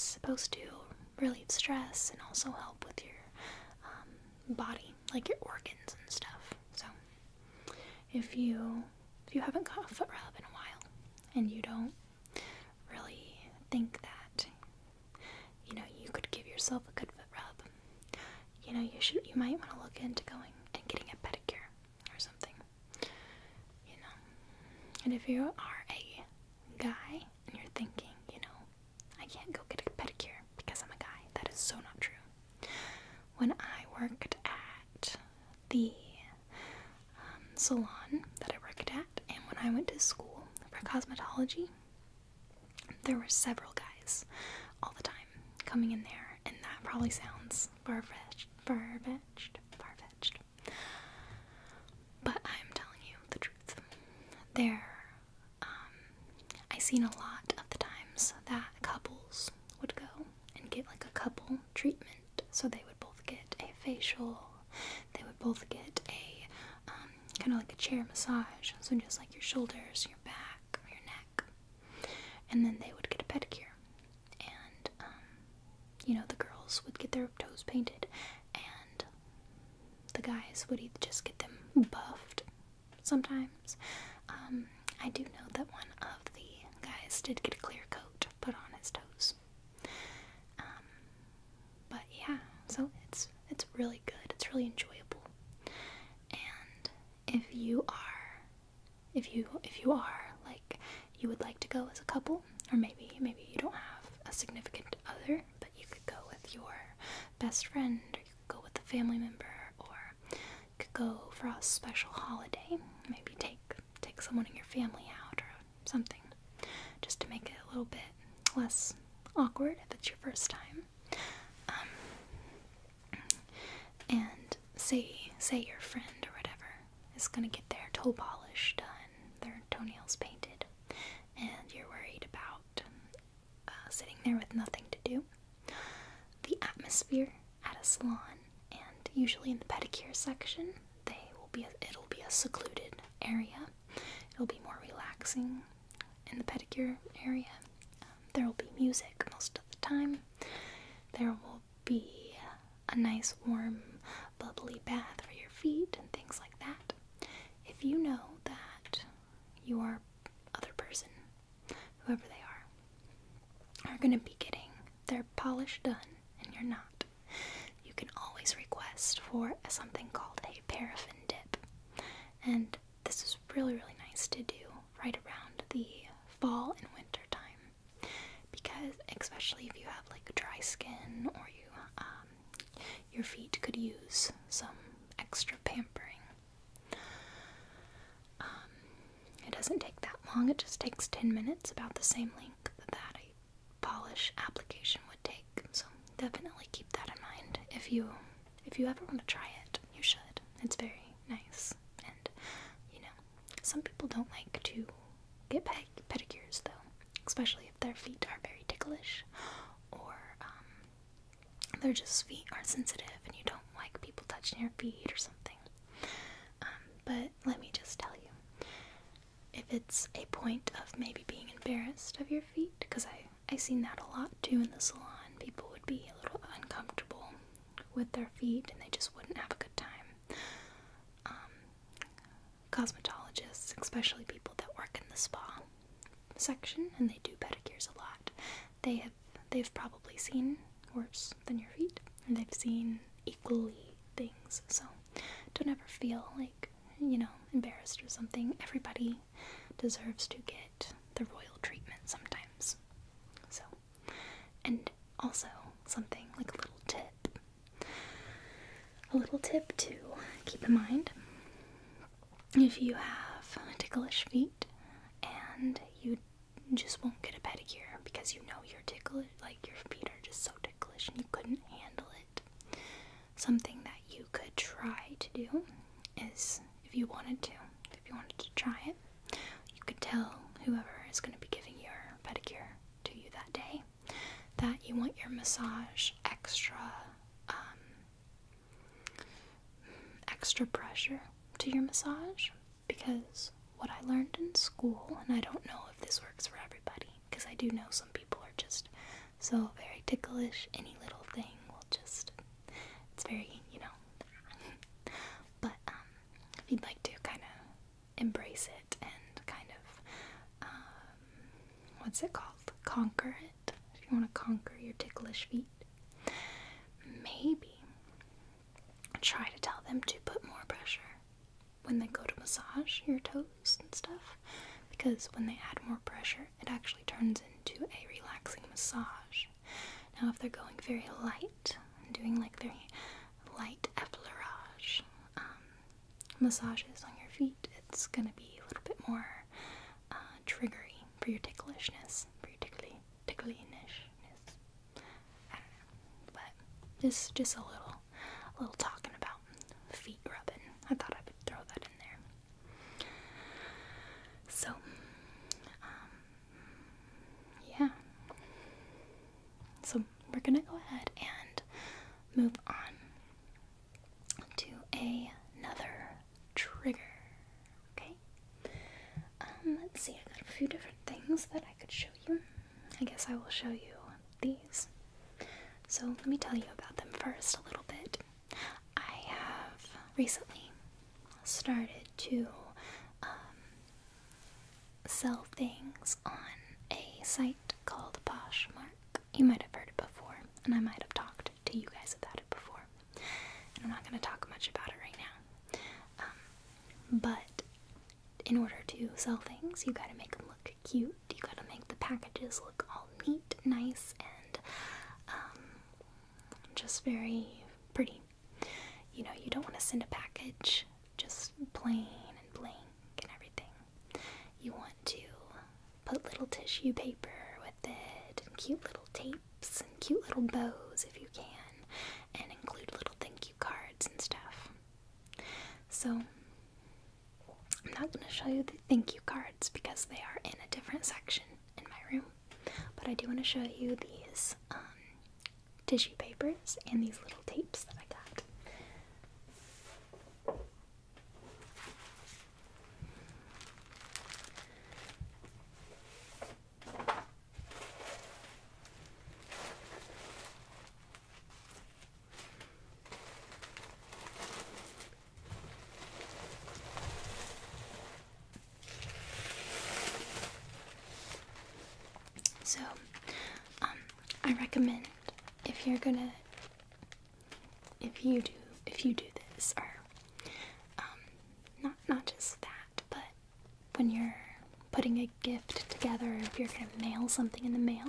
supposed to relieve stress and also help with your um, body, like your organs and stuff. So if you if you haven't got a foot rub in a while and you don't really think that you know you could give yourself a good foot rub. You know you should you might want to look into going and getting a pedicure or something. You know, and if you are a guy and you're thinking, you know, I can't go get a pedicure because I'm a guy. That is so not true. When I worked at the um, salon that I worked at, and when I went to school for cosmetology, there were several guys all the time coming in there, and that probably sounds far-fetched, far-fetched, far-fetched. But I'm telling you the truth. There, um, I seen a lot of the times that couples would go and get like a couple treatment, so they would both get a facial they would both get a um, kind of like a chair massage. So just like your shoulders, your back, your neck, and then they would get a pedicure. And um, you know the girls would get their toes painted, and the guys would just get them buffed. Sometimes, um, I do know that one of the guys did get a clear coat put on his toes but yeah, so it's it's really good. It's really enjoyable. And if you are if you if you are like you would like to go as a couple or maybe maybe you don't have a significant other, but you could go with your best friend or you could go with a family member or you could go for a special holiday. Maybe take take someone in your family out or something just to make it a little bit less awkward if it's your first time. Um, and say say your friend or whatever is gonna get their toe polish done, their toenails painted, and you're worried about uh, sitting there with nothing to do. The atmosphere at a salon, and usually in the pedicure section, they will be it'll be a secluded area It'll be more relaxing in the pedicure area. Um, there will be music most of the time. There will be a nice, warm, bubbly bath for your feet and things like that. If you know that your other person, whoever they are, are going to be getting their polish done and you're not, you can always request for something called a paraffin dip. And this is really, really nice to do right around the fall and winter time because, especially if you have like dry skin or you, um, your feet could use some extra pampering. Um, it doesn't take that long, it just takes 10 minutes, about the same length that I polish application would take. So definitely keep that in mind. If you if you ever want to try it, you should. It's very nice. And you know, some people don't like to get pedicures though, especially if their feet are very ticklish or um, their just feet are sensitive and you don't like people touching your feet or something. Um, but let me just tell you, if it's a point of maybe being embarrassed of your feet because I I seen that a lot too in the salon. People would be a little uncomfortable with their feet and they just wouldn't have a good time. Um, cosmetologists, especially people that work in the spa section and they do pedicures a lot, they have they've probably seen worse than your feet and they've seen equally things. So don't ever feel like you know, embarrassed or something. Everybody deserves to get the royal treatment sometimes. So, and also something like a little tip. A little tip to keep in mind if you have ticklish feet and you just won't get a pedicure because you know your tickle, like your feet are just so ticklish and you couldn't handle it. Something that you could try to do is if you wanted to, if you wanted to try it, you could tell whoever is going to be giving your pedicure to you that day that you want your massage extra, um, extra pressure to your massage because what I learned in school, and I don't know if this works for everybody because I do know some people are just so very ticklish. Any little thing will just it's very, you know. but um, if you'd like to kind of embrace it and kind of um, what's it called? Conquer it. If you want to conquer your ticklish feet. Maybe try to tell them to put more pressure when they go to massage your toes and stuff because when they add more pressure it actually turns into a relaxing massage. Now, if they're going very light and doing like very light effleurage um, massages on your feet, it's gonna be a little bit more uh, triggery for your ticklishness, for your tickly ticklinishness. I but it's just a little, little talking about feet rubbing. I thought I would throw that in there. So, um, yeah. So, we're gonna go ahead and move on to another trigger. Okay? Um, let's see, I got a few different things that I could show you. I guess I will show you these. So, let me tell you about them first a little bit. I have recently started to um, sell things on a site called Poshmark. You might have heard it before, and I might have talked to you guys about it before. And I'm not going to talk much about it right now. Um, but in order to sell things, you got to make them look cute. You gotta make the packages look all neat, nice, and um, just very pretty. You know, you don't want to send a package just plain and blank and everything. You want to put little tissue paper with it, and cute little tapes, and cute little bows if you can, and include little thank you cards and stuff. So, I'm not going to show you the thank you cards because they are in a different section in my room, but I do want to show you these um, tissue papers and these little tapes that I got. So, um, I recommend if you're gonna, if you do, if you do this, or um, not not just that, but when you're putting a gift together, if you're gonna mail something in the mail,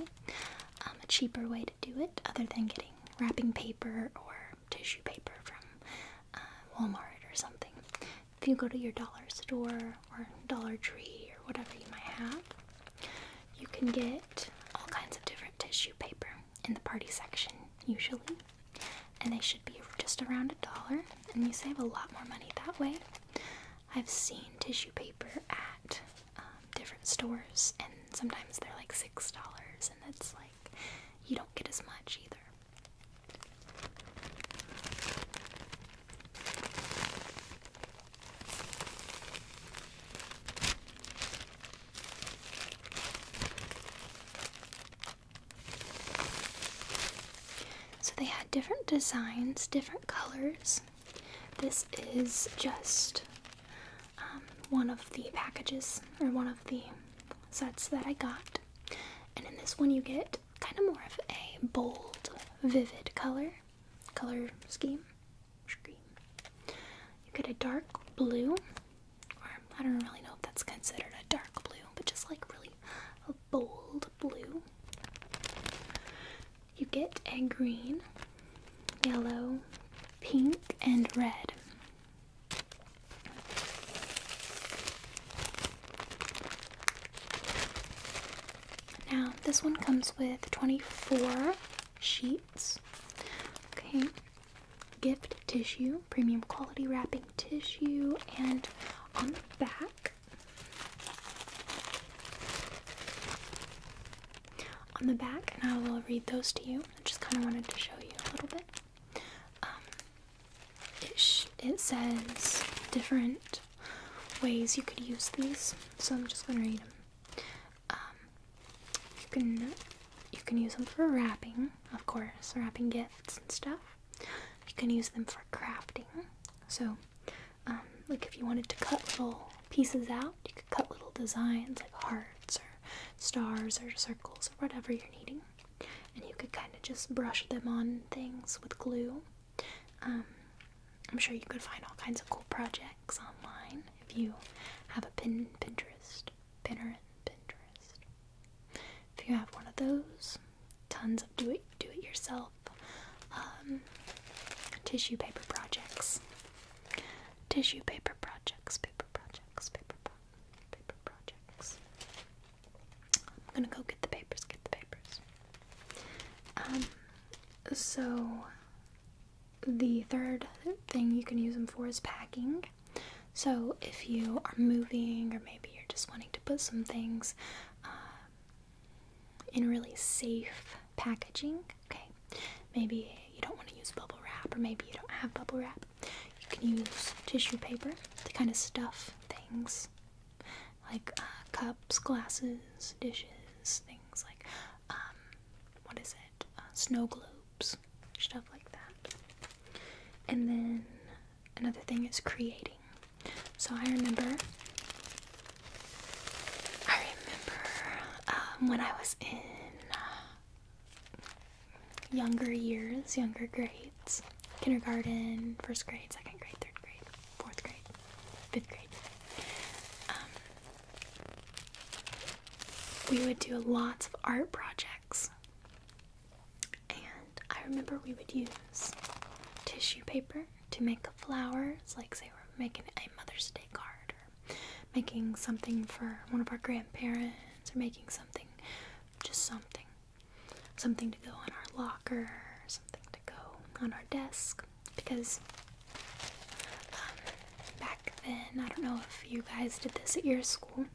um, a cheaper way to do it, other than getting wrapping, paper or tissue paper from uh, Walmart or something. If you go to your dollar store or Dollar Tree or whatever you might have, you can get all kinds of different tissue paper in the party section usually, and they should be just around a dollar, and you save a lot more money that way. I've seen tissue paper at um, different stores, and sometimes they're like six dollars, and it's like you don't get as much either. So they had different designs, different colors. This is just um, one of the packages or one of the sets that I got. And in this one, you get kind of more of a bold, vivid color color scheme. You get a dark blue, or I don't really know if that's considered a dark blue, but just like really a bold blue. You get a green, yellow, pink, and red. Now, this one comes with 24 sheets. Okay, gift tissue, premium quality wrapping tissue, and on the back, on the back, and I will read those to you. I just kind of wanted to show you a little bit. Um, it, says different ways you could use these, so I'm just going to read them. Um, you can you can use them for wrapping, of course, wrapping gifts and stuff. You can use them for crafting. So, um, like if you wanted to cut little pieces out, you could cut little designs like hearts or stars or circles or whatever you're needing. And you could kind of just brush them on things with glue. Um, I'm sure you could find all kinds of cool projects online if you have a pin Pinterest, Pinterest, Pinterest. If you have one of those, tons of do it do it yourself um, tissue paper projects. Tissue paper projects, paper projects, paper pro paper projects. I'm gonna go get the papers, get the papers. Um, so the third thing you can use them for is packing. So if you are moving, or maybe you're just wanting to put some things um, in really safe packaging, Okay, maybe you don't want to use bubble wrap, or maybe you don't have bubble wrap. You can use tissue paper to kind of stuff things like uh, cups, glasses, dishes, things like um, what is it? Uh, snow globes, stuff like that. And then another thing is creating. So I remember. I remember um, when I was in uh, younger years, younger grades kindergarten, first grade, second grade, third grade, fourth grade, fifth grade. Um, we would do lots of art projects. And I remember we would use tissue paper to make flowers, like say we're making a Mother's Day card or making something for one of our grandparents or making something just something something to go on our locker something to go on our desk because um, back then i don't know if you guys did this at your school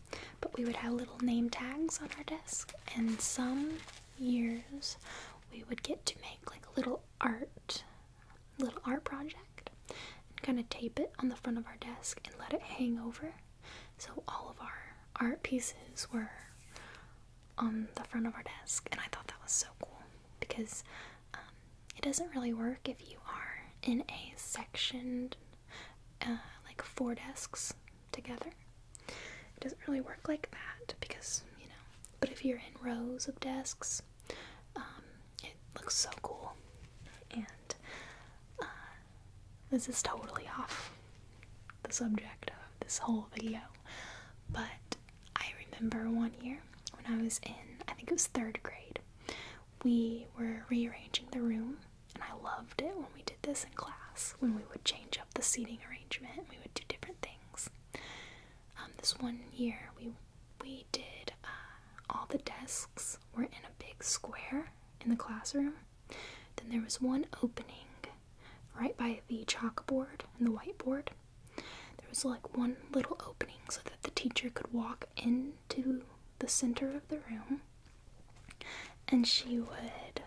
but we would have little name tags on our desk and some years we would get to make like a little art little art project and kind of tape it on the front of our desk and let it hang over. So all of our art pieces were on the front of our desk, and I thought that was so cool because um, it doesn't really work if you are in a sectioned, uh, like four desks together. It doesn't really work like that because, you know, but if you're in rows of desks, um, it looks so cool. And uh, this is totally off the subject of this whole video, but I remember one year when I was in, I think it was third grade, we were rearranging the room, and I loved it when we did this in class when we would change up the seating arrangement, we would do different things. Um, this one year, we we did uh, all the desks were in a big square in the classroom. Then there was one opening right by the chalkboard and the whiteboard. There was like one little opening so that the teacher could walk into the center of the room and she would,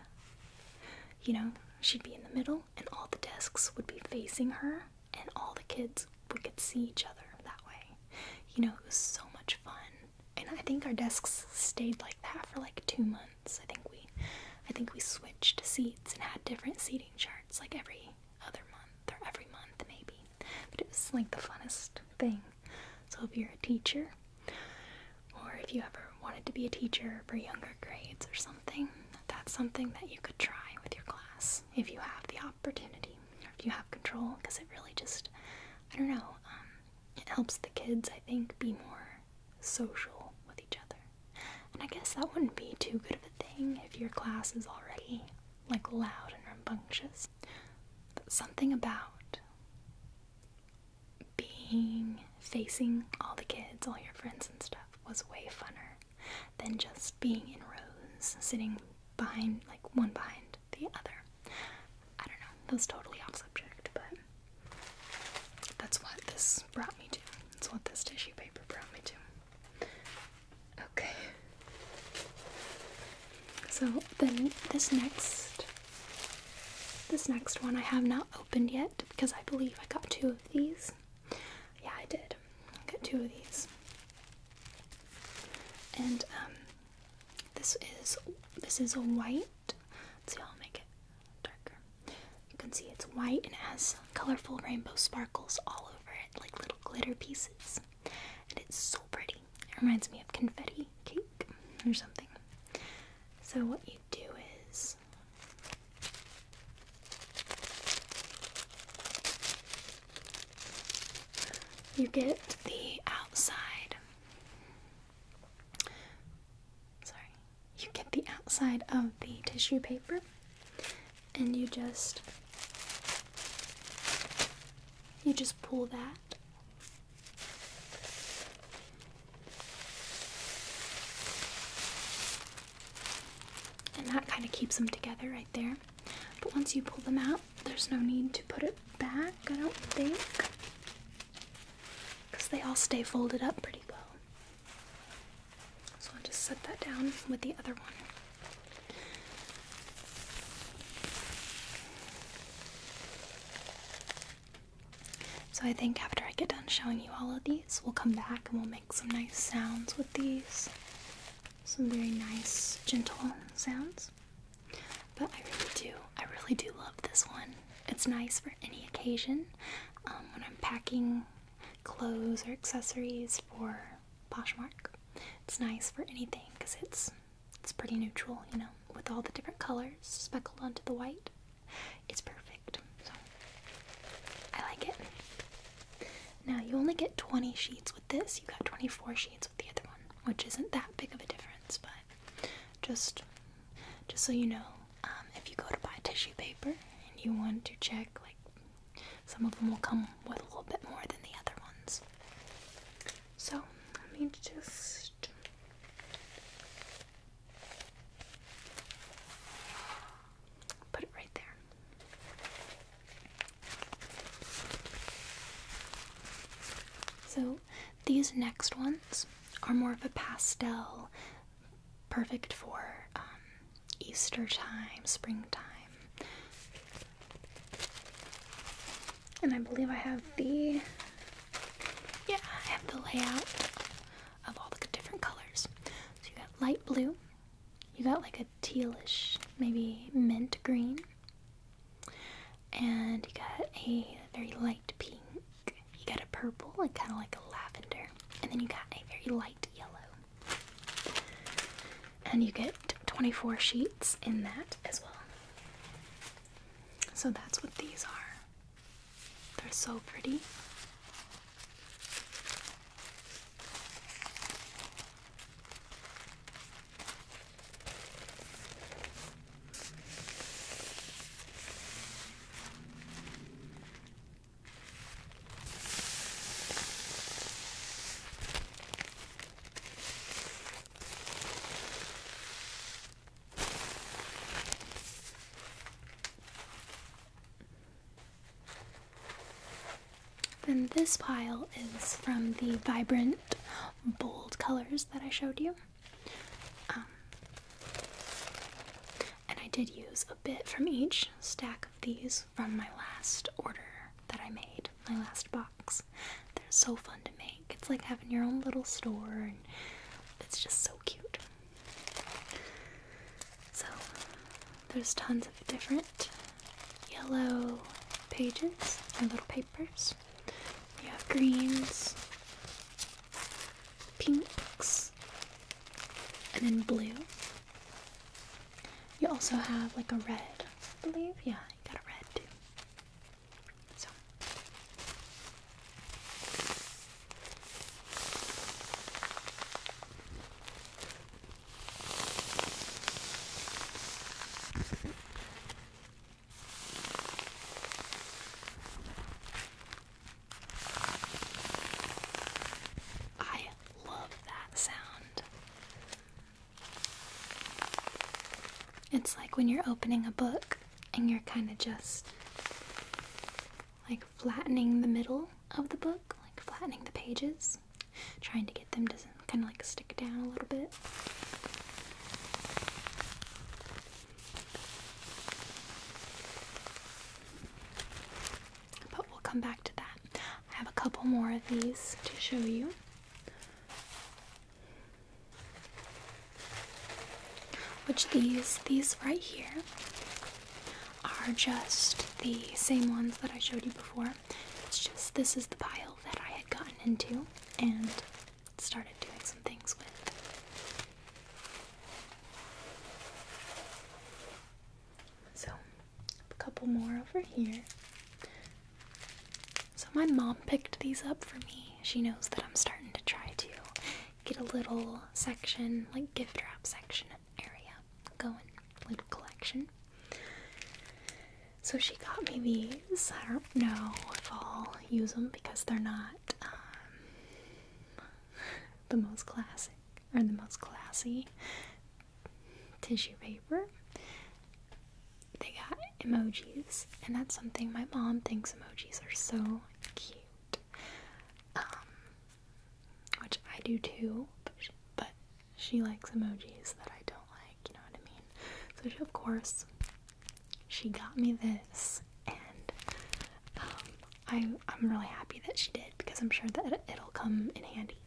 you know, she'd be in the middle and all the desks would be facing her and all the kids would could see each other that way you know, it was so much fun. And I think our desks stayed like that for like two months. I think we, I think we switched seats and had different seating charts like every other month or every month maybe. But it was like the funnest thing. So if you're a teacher, or if you ever wanted to be a teacher for younger grades or something, that's something that you could try with your class if you have the opportunity or if you have control because it really just i don't know um, it helps the kids i think be more social with each other and i guess that wouldn't be too good of a thing if your class is already like loud and rambunctious but something about being facing all the kids all your friends and stuff was way funner than just being in rows sitting behind like one behind the other. I don't know, that's totally off subject, but that's what this brought me to. That's what this tissue paper brought me to. Okay. So then this next this next one I have not opened yet because I believe I got two of these. Yeah, I did. I got two of these. And um this is this is a white. Let's see how I'll make it darker. You can see it's white and has colorful rainbow sparkles all over it, like little glitter pieces. And it's so pretty. It reminds me of confetti cake or something. So what you do is you get the outside. Sorry. You get the outside of the tissue paper and you just you just pull that and that kind of keeps them together right there but once you pull them out there's no need to put it back, I don't think, because they all stay folded up pretty well. So I'll just set that down with the other one. So I think after I get done showing you all of these, we'll come back and we'll make some nice sounds with these. Some very nice, gentle sounds. But I really do, I really do love this one. It's nice for any occasion um, when I'm packing clothes or accessories for Poshmark. It's nice for anything because it's it's pretty neutral, you know, with all the different colors speckled onto the white. It's perfect. So I like it. Now you only get 20 sheets with this. You got 24 sheets the other one, which isn't that big of a difference, but just just so you know, um, if you go to buy tissue paper and you want to check, like some of them will come with a little bit more than the other ones. So let me just. Put it right there. So, these next ones are more of a pastel, perfect for um, Easter time, springtime. And I believe I have the. Yeah, I have the layout of all the different colors. So, you got light blue, you got like a tealish, maybe mint green. And you got a very light pink. You got a purple, like kind of like a lavender. And then you got a very light yellow. And you get 24 sheets in that as well. So that's what these are. They're so pretty. Then this pile is from the Vibrant bold colors that I showed you. Um, and I did use a bit from each stack of these from my last order that I made, my last box. They're so fun to make. It's like having your own little store, and it's just so cute. So, there's tons of different yellow pages and little papers. You have greens, pinks, and then blue. You also have like a red, I believe. Yeah, you got a red too. So. I love that sound. It's like when you're opening a book and you're kind of just like flattening the middle of the book, like flattening the pages, trying to get them to kind of like stick down a little bit. But we'll come back to that. I have a couple more of these to show you. Which these, these right here, are just the same ones that I showed you before. It's just this is the pile that I had gotten into and started doing some things with. So, a couple more over here. So, my mom picked these up for me. She knows that I'm starting to try to get a little section, like gift wrap section area going, little collection. So she got me these. I don't know if I'll use them because they're not um, the most classic or the most classy tissue paper. They got emojis, and that's something my mom thinks emojis are so cute. Um, which I do too, but she, likes emojis that I don't like you know what I mean? So of course, she got me this, and um, I, I'm really happy that she did because I'm sure that it'll come in handy.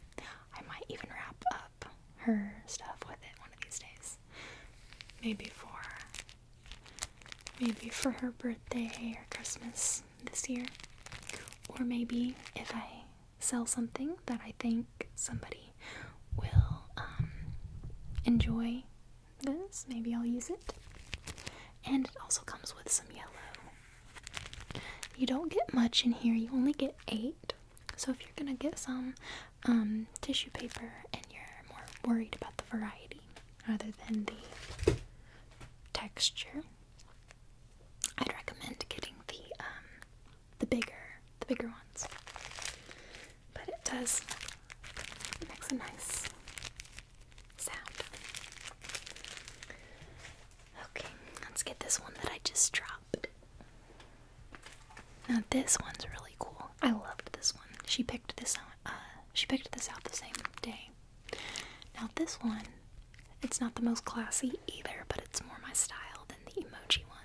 I might even wrap up her stuff with it one of these days. Maybe for maybe for her birthday or Christmas this year. Or maybe if I sell something that I think somebody will um, enjoy this. Maybe I'll use it. And it also comes with some yellow. You don't get much in here, you only get eight. So if you're gonna get some um, tissue paper and you're more worried about the variety rather than the texture, I'd recommend getting the um, the bigger, the bigger ones. But it does it makes a nice sound. Okay, let's get this one that I just dropped. Now this one's really cool. I loved this one. She picked this out. Uh, she picked this out the same day. Now this one, it's not the most classy either, but it's more my style than the emoji one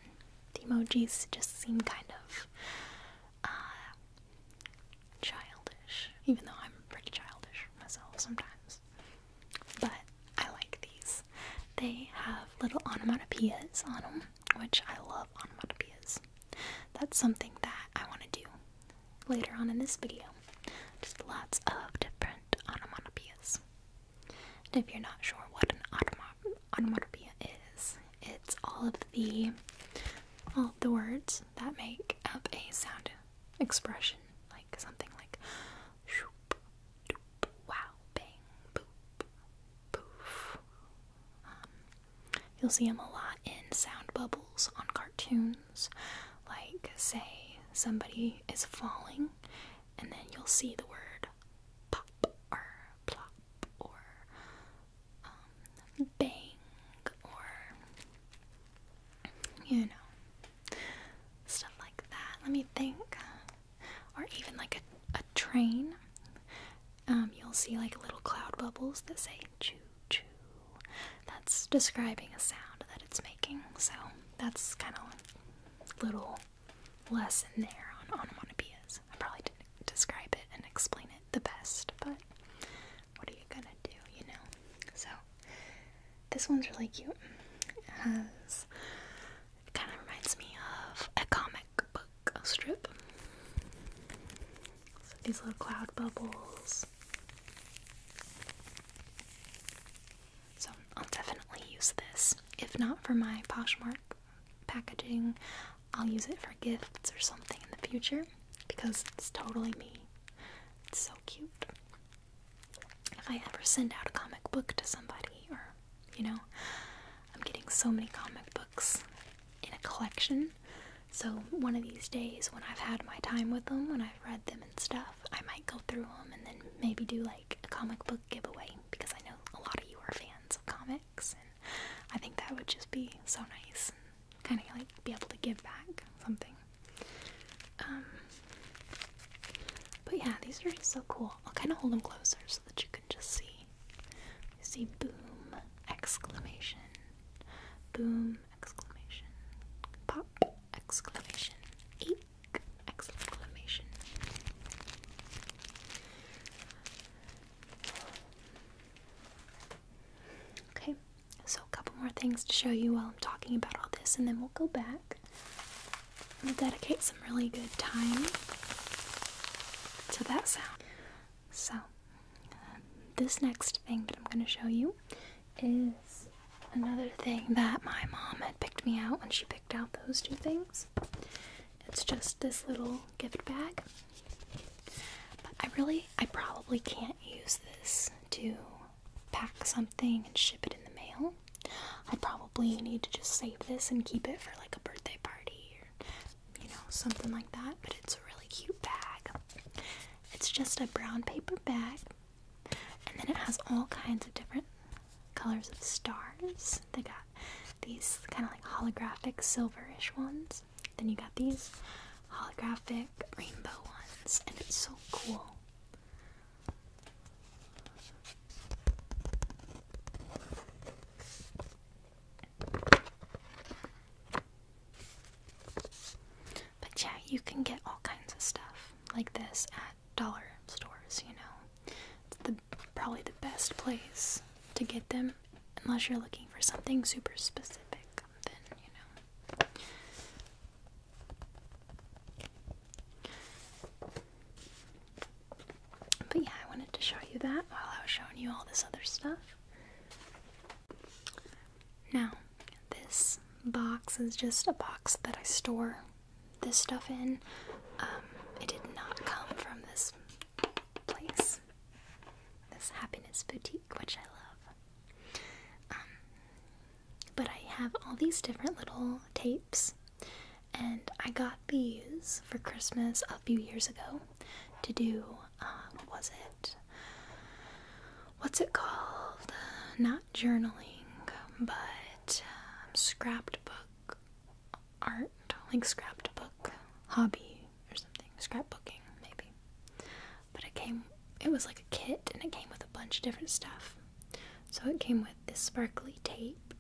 the emojis just seem kind of uh, childish, even though I'm pretty childish myself sometimes. But I like these. They have little onomatopoeias on them, which I love onomatopoeias. That's something that I want to do later on in this video. Just lots of different onomatopoeias. And if you're not sure what an automa onomatopoeia is, it's all of the all the words that make up a sound expression, like something like shoop, doop, wow, bang, boop, poof. Um, you'll see them a lot in sound bubbles on cartoons, like say somebody is falling, and then you'll see the word pop plop or um, bang or you know stuff like that. Let me think, or even like a, a train. Um, you'll see like little cloud bubbles that say choo choo. That's describing a sound that it's making. So that's kind of little lesson there on onomatopoeias. I probably didn't describe it and explain it the best, but what are you gonna do, you know? So, this one's really cute. It has, kind of reminds me of a comic book strip. these little cloud bubbles. So, I'll definitely use this. If not for my Poshmark packaging, I'll use it for gifts or something in the future because it's totally me. It's so cute. If I ever send out a comic book to somebody, or you know, I'm getting so many comic books in a collection. So, one of these days, when I've had my time with them, when I've read them and stuff, I might go through them and then maybe do like a comic book giveaway because I know a lot of you are fans of comic and I think that would just be so nice kind of like be able to give back something. Um, but yeah, these are so cool. I'll kind of hold them closer so that you can just see. see boom, exclamation, boom, exclamation, pop, exclamation, eek, exclamation. Okay, so a couple more things to show you while I'm talking about all this, and then we'll go back. We'll dedicate some really good time to that sound. So, uh, this next thing that I'm going to show you is another thing that my mom had picked me out when she picked out those two things. It's just this little gift bag. I really, I probably can't use this to pack something and ship it in the mail. I probably need to just save this and keep it for like a birthday party or, you know, something like that. But it's a really cute bag. It's just a brown paper bag. And then it has all kinds of different colors of stars. They got these kind of like holographic silverish ones. Then you got these holographic rainbow ones, and it's so cool. But yeah, you can get all kinds of stuff like this at dollar stores, you know. It's the probably the best place to get them unless you're looking for something super specific then you know but yeah I wanted to show you that while I was showing you all this other stuff now this box is just a box that I store this stuff in um, it did not come from this place, this happiness boutique, which I love. Um, but I have all these different little tapes, and I got these for Christmas a few years ago to do. what um, was it? What's it called? Not journaling, but um, scrapbook art, like scrapbook hobby or something, scrapbooking maybe. But it came, it was like a kit and it came with a bunch of different stuff. So it came with this sparkly tape,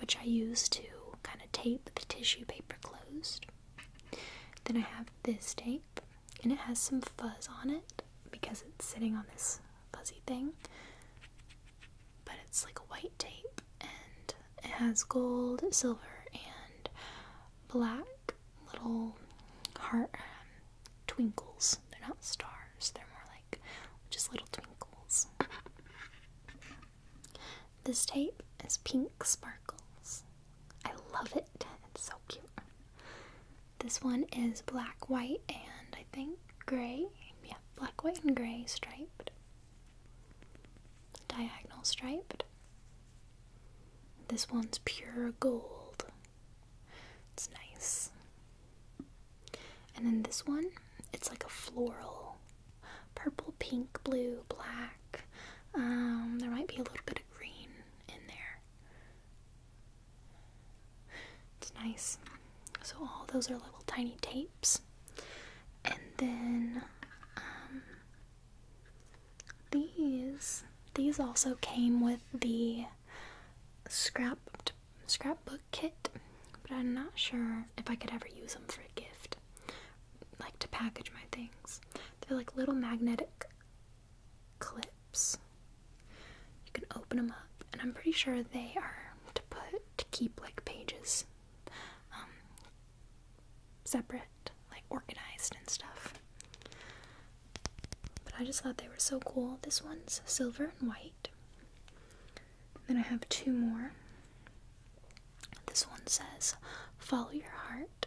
which I use to kind of tape the tissue paper closed. Then I have this tape, and it has some fuzz on it because it's sitting on this fuzzy thing. But it's like a white tape, and it has gold, silver, and black little heart um, twinkles. They're not stars, they're more like just little twinkles. This tape is pink sparkles. I love it. It's so cute. This one is black, white, and I think gray. Yeah, black, white, and gray striped diagonal striped. This one's pure gold. It's nice. And then this one, it's like a floral. Purple, pink, blue, black. Um, there might be a little bit of green in there. It's nice. So all those are little tiny tapes and then um, these these also came with the scrap scrapbook kit but i'm not sure if i could ever use them for a gift like to package my things they're like little magnetic clips you can open them up and i'm pretty sure they are to put to keep like pages um, separate, like organized and stuff. But I just thought they were so cool. This one's silver and white. then I have two more. This one says, Follow Your Heart.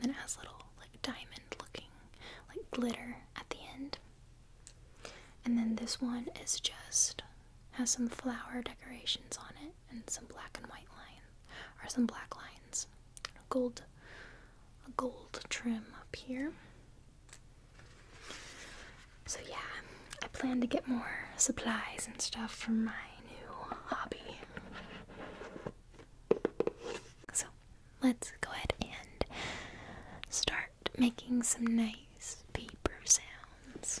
And then it has little, like, diamond looking, like, glitter at the end. And then this one is just, has some flower decorations on it and some black and white line or some black lines. gold a gold trim up here. So yeah, I plan to get more supplies and stuff for my new hobby. So let's go ahead and start making some nice paper sounds.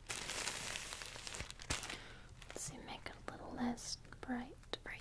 Let's see, make it a little less bright for you.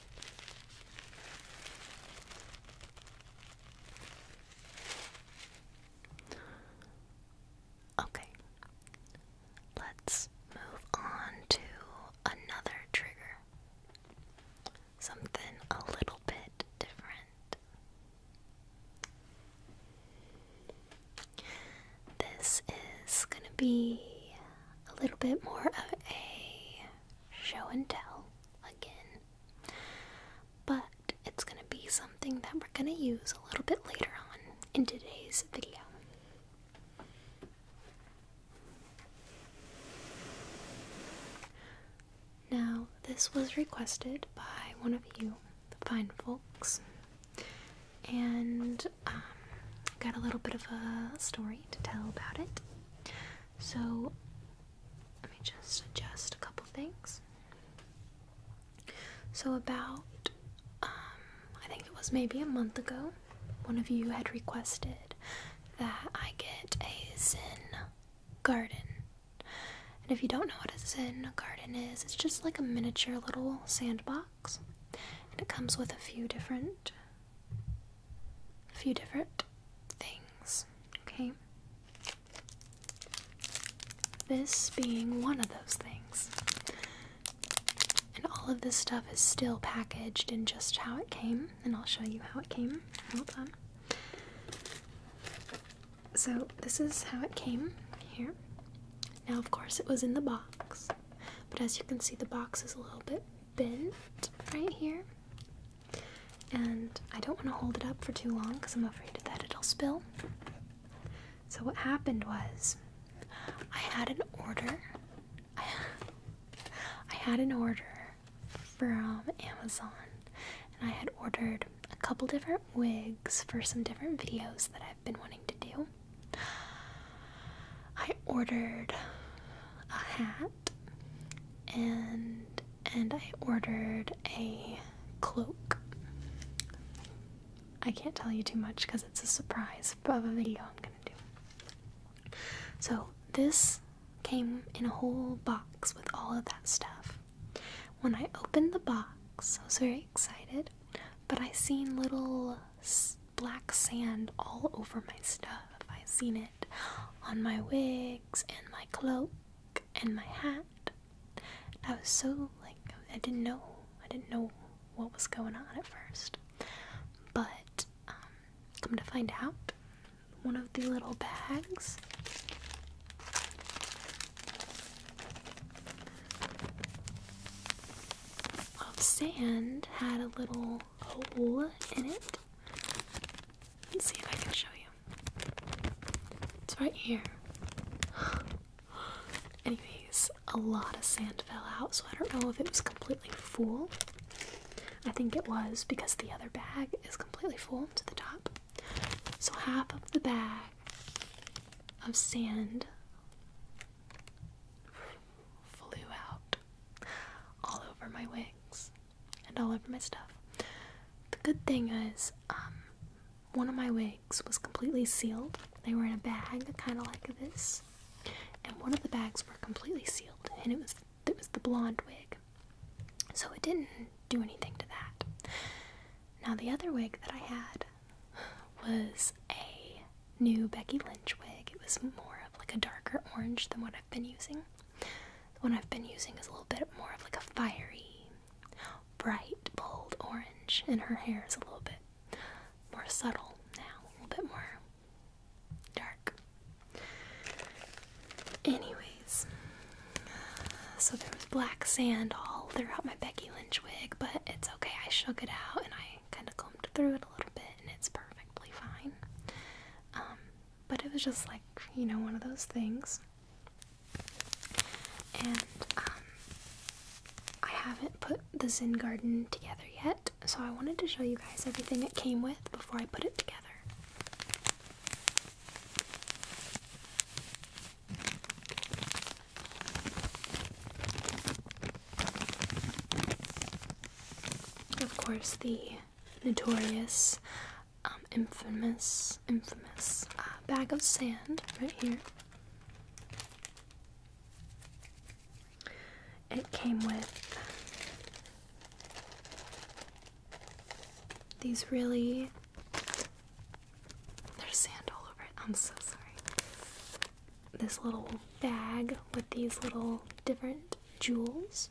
Okay, let's move on to another trigger. Something a little bit different. This is going to be a little bit more of a show and tell again. But it's going to be something that we're going to use a little bit later on in today's video. Now, this was requested by one of you, the fine folks, and um, got a little bit of a story to tell about it. So, let me just adjust a couple things. So, about, um, I think it was maybe a month ago, one of you had requested that I get a Zen garden. And if you don't know what a Zen garden is, it's just like a miniature little sandbox. And it comes with a few different a few different things. Okay? This being one of those things. And all of this stuff is still packaged in just how it came, and I'll show you how it came. Hold on. So, this is how it came here. Now, of course, it was in the box, but as you can see, the box is a little bit bent right here. And I don't want to hold it up for too long because I'm afraid that it'll spill. So, what happened was I had an order. I had an order from Amazon and I had ordered a couple different wigs for some different videos that I've been wanting to do. I ordered a hat and and I ordered a cloak. I can't tell you too much because it's a surprise of a video I'm gonna do. So this came in a whole box with all of that stuff. When I opened the box, I was very excited, but I seen little black sand all over my stuff have I seen it on my wigs and my cloak and my hat. I was so like I didn't know I didn't know what was going on at first, but um, come to find out, one of the little bags of sand had a little hole in it. Let's see if I can show you. It's right here. Anyways, a lot of sand fell out, so I don't know if it was completely full. I think it was because the other bag is completely full to the top. So half of the bag of sand flew out all over my wings and all over my stuff. The good thing is, um, one of my wigs was completely sealed. They were in a bag, kind of like this, and one of the bags were completely sealed, and it was it was the blonde wig, so it didn't do anything to that. Now the other wig that I had was a new Becky Lynch wig. It was more of like a darker orange than what I've been using. The one I've been using is a little bit more of like a fiery, bright, bold orange, and her hair is a little bit more subtle now, a little bit more dark. Anyways, so there was black sand all throughout my Becky Lynch wig, but it's okay. I shook it out and I kind of combed through it a little bit, and it's perfectly fine. Um, but it was just like, you know, one of those things. And um, I haven't put the Zen Garden together yet, so I wanted to show you guys everything it came with before I put it together. Of course, the notorious, um, infamous, infamous uh, bag of sand right here. It came with these really. There's sand all over it. I'm so sorry. This little bag with these little different jewels.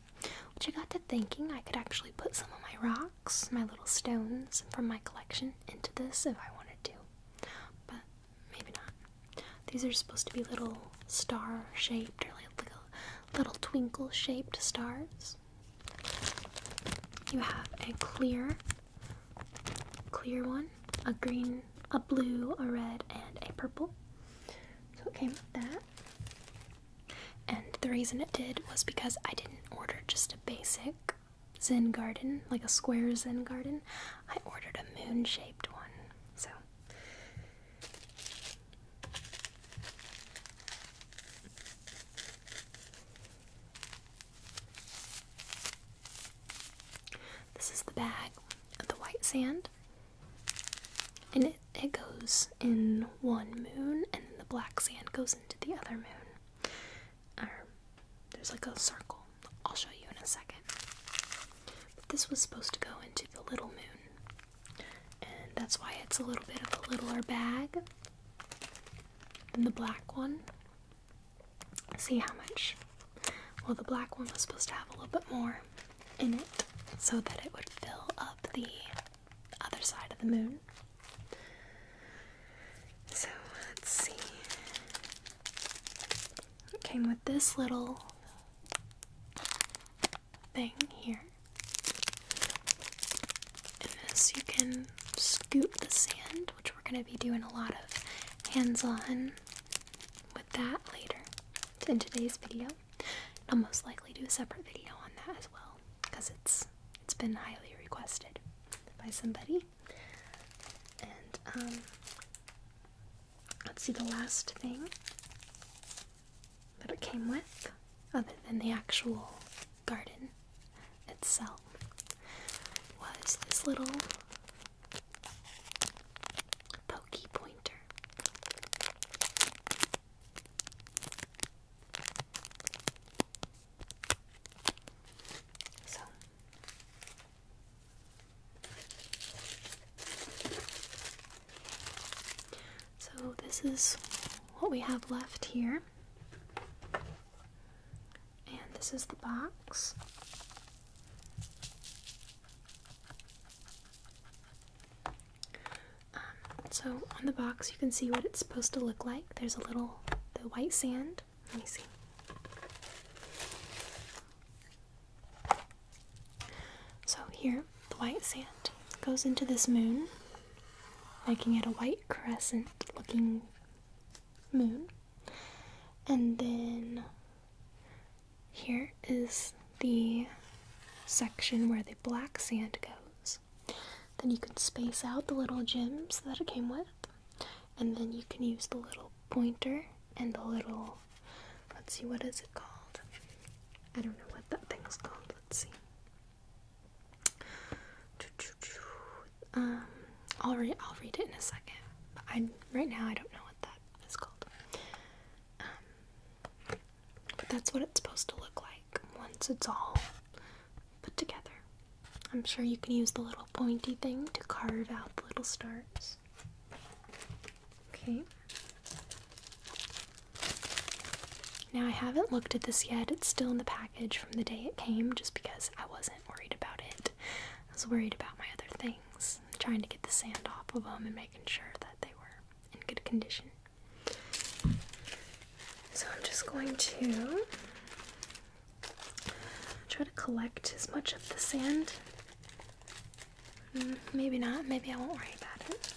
Which I got to thinking I could actually put some of my rocks, my little stones from my collection, into this if I wanted to. But maybe not. These are supposed to be little star shaped or like little, little twinkle shaped stars. You have a clear, clear one, a green, a blue, a red, and a purple. So it came with that. And the reason it did was because I didn't order just a basic Zen garden, like a square Zen garden. I ordered a moon shaped one. So. This is the bag of the white sand and it, it goes in one moon and then the black sand goes into the other moon or there's like a circle i'll show you in a second but this was supposed to go into the little moon and that's why it's a little bit of a littler bag than the black one see how much well the black one was supposed to have a little bit more in it so that it would fill up the other side of the moon. So let's see. It came with this little thing here. and this, you can scoop the sand, which we're going to be doing a lot of hands on with that later in today's video. I'll most likely do a separate video on that as well because it's it's been highly requested by somebody. And um, let's see the last thing that it came with, other than the actual garden itself, was this little pokey pointer. So this is what we have left here. And this is the box. Um, so on the box, you can see what it's supposed to look like. There's a little the white sand. Let me see. So here, the white sand goes into this moon, making it a white crescent-looking moon. And then here is the section where the black sand goes. Then you can space out the little gems that it came with, and then you can use the little pointer and the little. Let's see, what is it called? I don't know what that thing's called. Let's see. Um, I'll read. I'll read it in a second. But I right now I don't know what that is called. Um, but that's what it's supposed to look like once it's all put together. I'm sure you can use the little pointy thing to carve out the little stars. Okay. Now I haven't looked at this yet. It's still in the package from the day it came just because I wasn't worried about it. I was worried about my other things, trying to get the sand off of them and making sure that they were in good condition. So I'm just going to try to collect as much of the sand. Mm, maybe not, maybe I won't worry about it.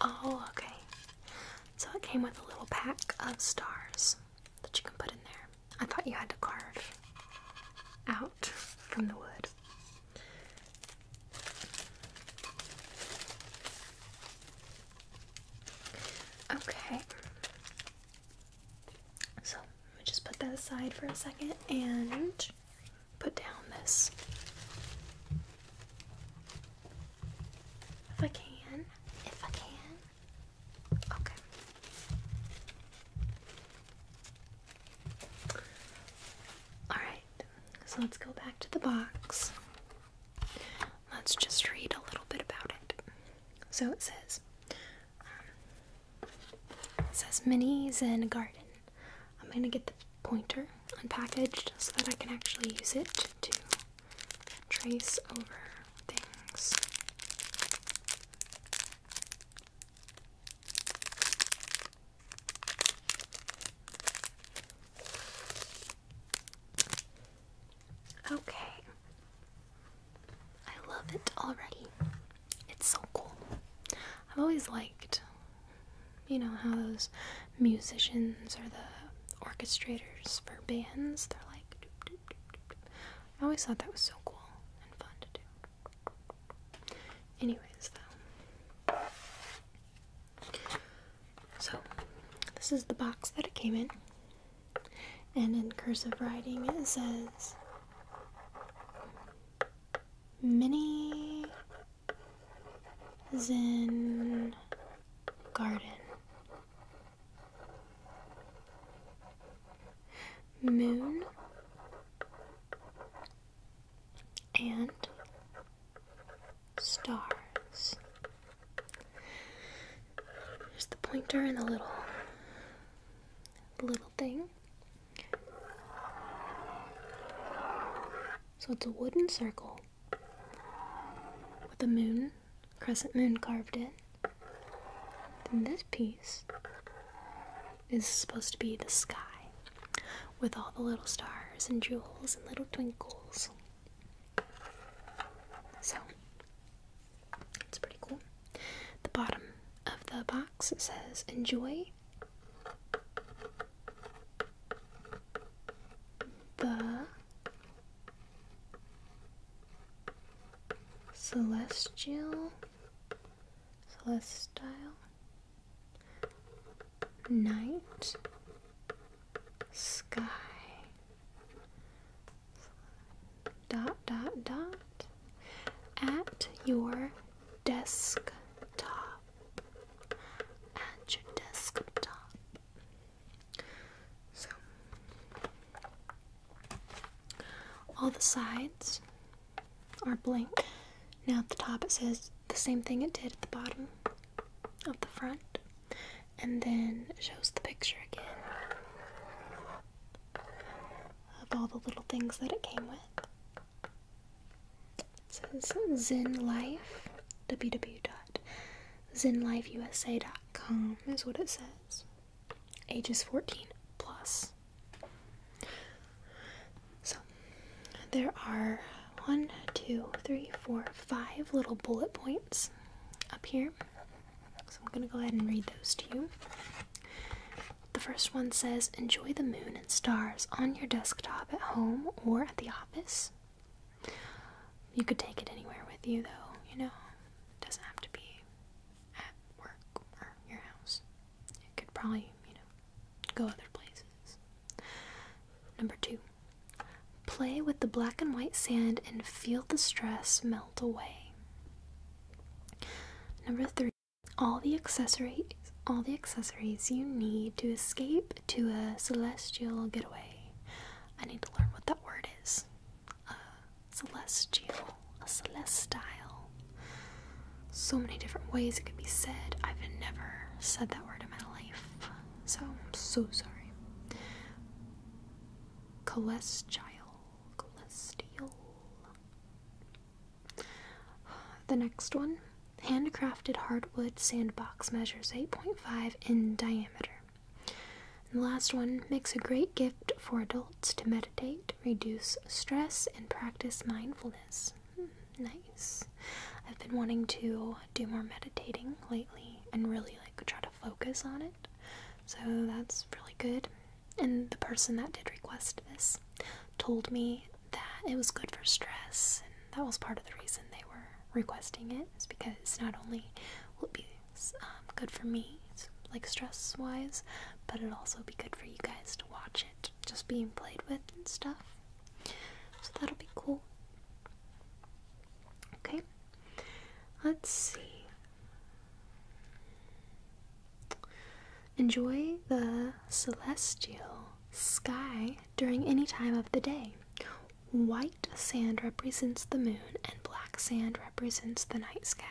Oh, okay. So it came with a little pack of stars that you can put in there. I thought you had to carve out from the wood. Okay. So let me just put that aside for a second and put down this if I can. If I can. Okay. Alright, so let's go back to the box. Let's just read a little bit about it. So it says, um, it says minis in garden. I'm going to get the pointer unpackaged so that I can actually use it to trace over things. Okay. I love it already. It's so cool. I've always liked you know how those musicians or the orchestrators for bands they're like I always thought that was so cool and fun to do. Anyways though. So this is the box that it came in. And in cursive writing it says mini Zen garden. Moon and stars. There's the pointer and the little the little thing. So it's a wooden circle with a moon, crescent moon carved in. And this piece is supposed to be the sky with all the little stars and jewels and little twinkles. So it's pretty cool. The bottom of the box says enjoy the celestial celestial night sky dot dot dot at your desktop and your desktop. So, all the sides are blank. Now at the top it says the same thing it did at the bottom of the front, and then shows the picture again of all the little things that it came with. It says Zen Life, www.zenlifeusa.com is what it says. Ages 14 plus. So there are one, two, three, four, five little bullet points up here. So I'm going to go ahead and read those to you. The first one says Enjoy the moon and stars on your desktop at home or at the office. You could take it anywhere with you, though, you know? It doesn't have to be at work or your house. It could probably, you know, go other places. Number two, play with the black and white sand and feel the stress melt away. Number three, all the accessories all the accessories you need to escape to a celestial getaway. I need to learn what that word is. celestial, celestial. So many different ways it could be said. I've never said that word in my life, so I'm so sorry. Celestial, celestial. The next one handcrafted hardwood sandbox measures 8.5 in diameter. the last one makes a great gift for adults to meditate, reduce stress, and practice mindfulness. Hmm, nice. I've been wanting to do more meditating lately and really like try to focus on it. So that's really good. And the person that did request this told me that it was good for stress, and that was part of the reason they were requesting it. Is because not only will it be um, good for me, like stress wise, but it'll also be good for you guys to watch it, just being played with and stuff. So that'll be cool. Okay, let's see. Enjoy the celestial sky during any time of the day. White sand represents the moon, and black sand represents the night sky.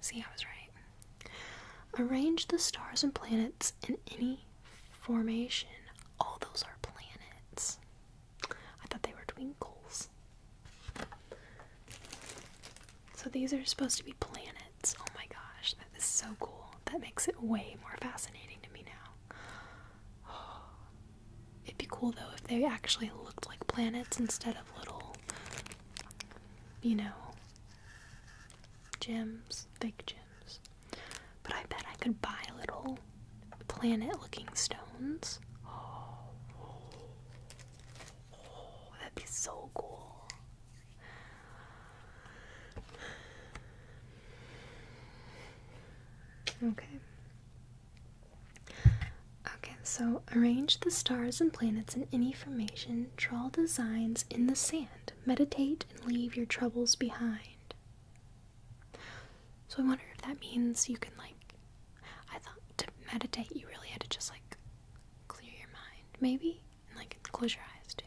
See, I was right. Arrange the stars and planets in any formation. All those are planets. I thought they were twinkles. So these are supposed to be planets. Oh my gosh, that is so cool. That makes it way more fascinating to me now. It'd be cool though if they actually looked like planets instead of little, you know, gems, big gems. But I bet I could buy little planet looking stones. Oh, that'd be so cool. Okay. Okay, so arrange the stars and planets in any formation, draw designs in the sand, meditate, and leave your troubles behind. So I wonder if that means you can, like, I thought to meditate you really had to just, like, clear your mind, maybe? And, like, close your eyes too.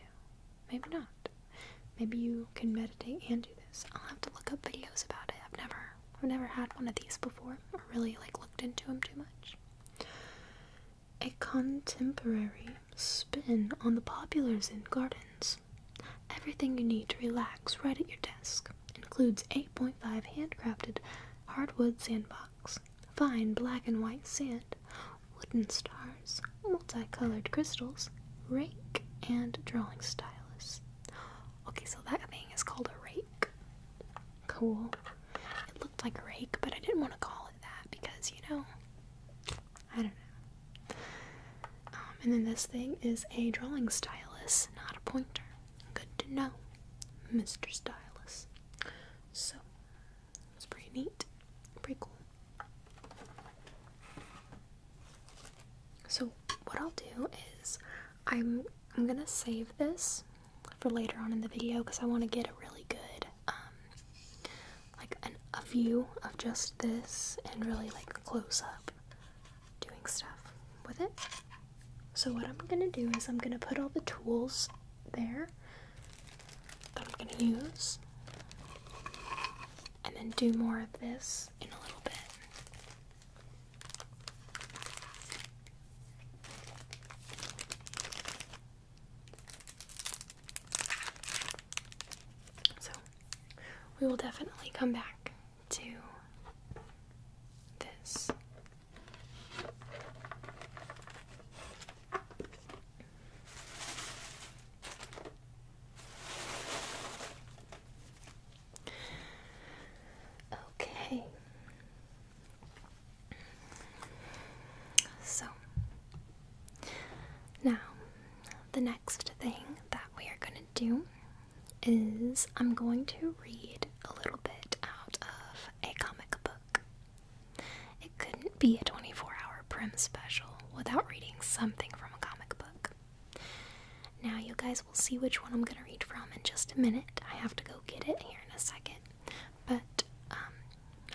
Maybe not. Maybe you can meditate and do this. I'll have to look up videos about it. I've never I've never had one of these before or really like looked into them too much. A contemporary spin on the popular in gardens. Everything you need to relax right at your desk includes 8.5 handcrafted hardwood sandbox, fine black and white sand, wooden star multicolored crystals, rake, and drawing stylus. Okay, so that thing is called a rake. Cool. It looked like a rake, but I didn't want to call it that because, you know, I don't know. Um, and then this thing is a drawing stylus, not a pointer. Good to know, Mr. Stylus. So, it's pretty neat, pretty cool. So what I'll do is I'm I'm gonna save this for later on in the video because I want to get a really good um, like a view of just this and really like close up doing stuff with it. So what I'm gonna do is I'm gonna put all the tools there that I'm gonna use and then do more of this in a little bit. So, we will definitely come back to this. Okay. So, now the next thing that we are going to do is I'm going to read a little bit out of a comic book. It couldn't be a 24 hour prim special without reading something from a comic book. Now, you guys will see which one I'm going to read from in just a minute. I have to go get it here in a second. But um,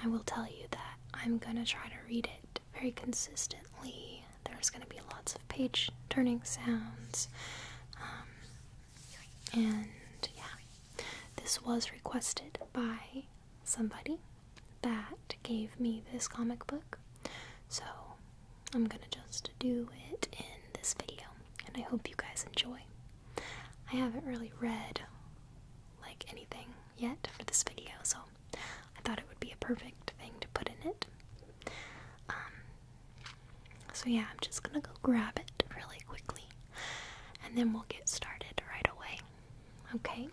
I will tell you that I'm going to try to read it very consistently. There's going to be lots of page turning sounds. Um, and yeah, this was requested by somebody that gave me this comic book. So I'm gonna just do it in this video, and I hope you guys enjoy. I haven't really read like anything yet for this video, so I thought it would be a perfect thing to put in it. Um, so yeah, I'm just gonna go grab it really quickly, and then we'll get started right away. Okay.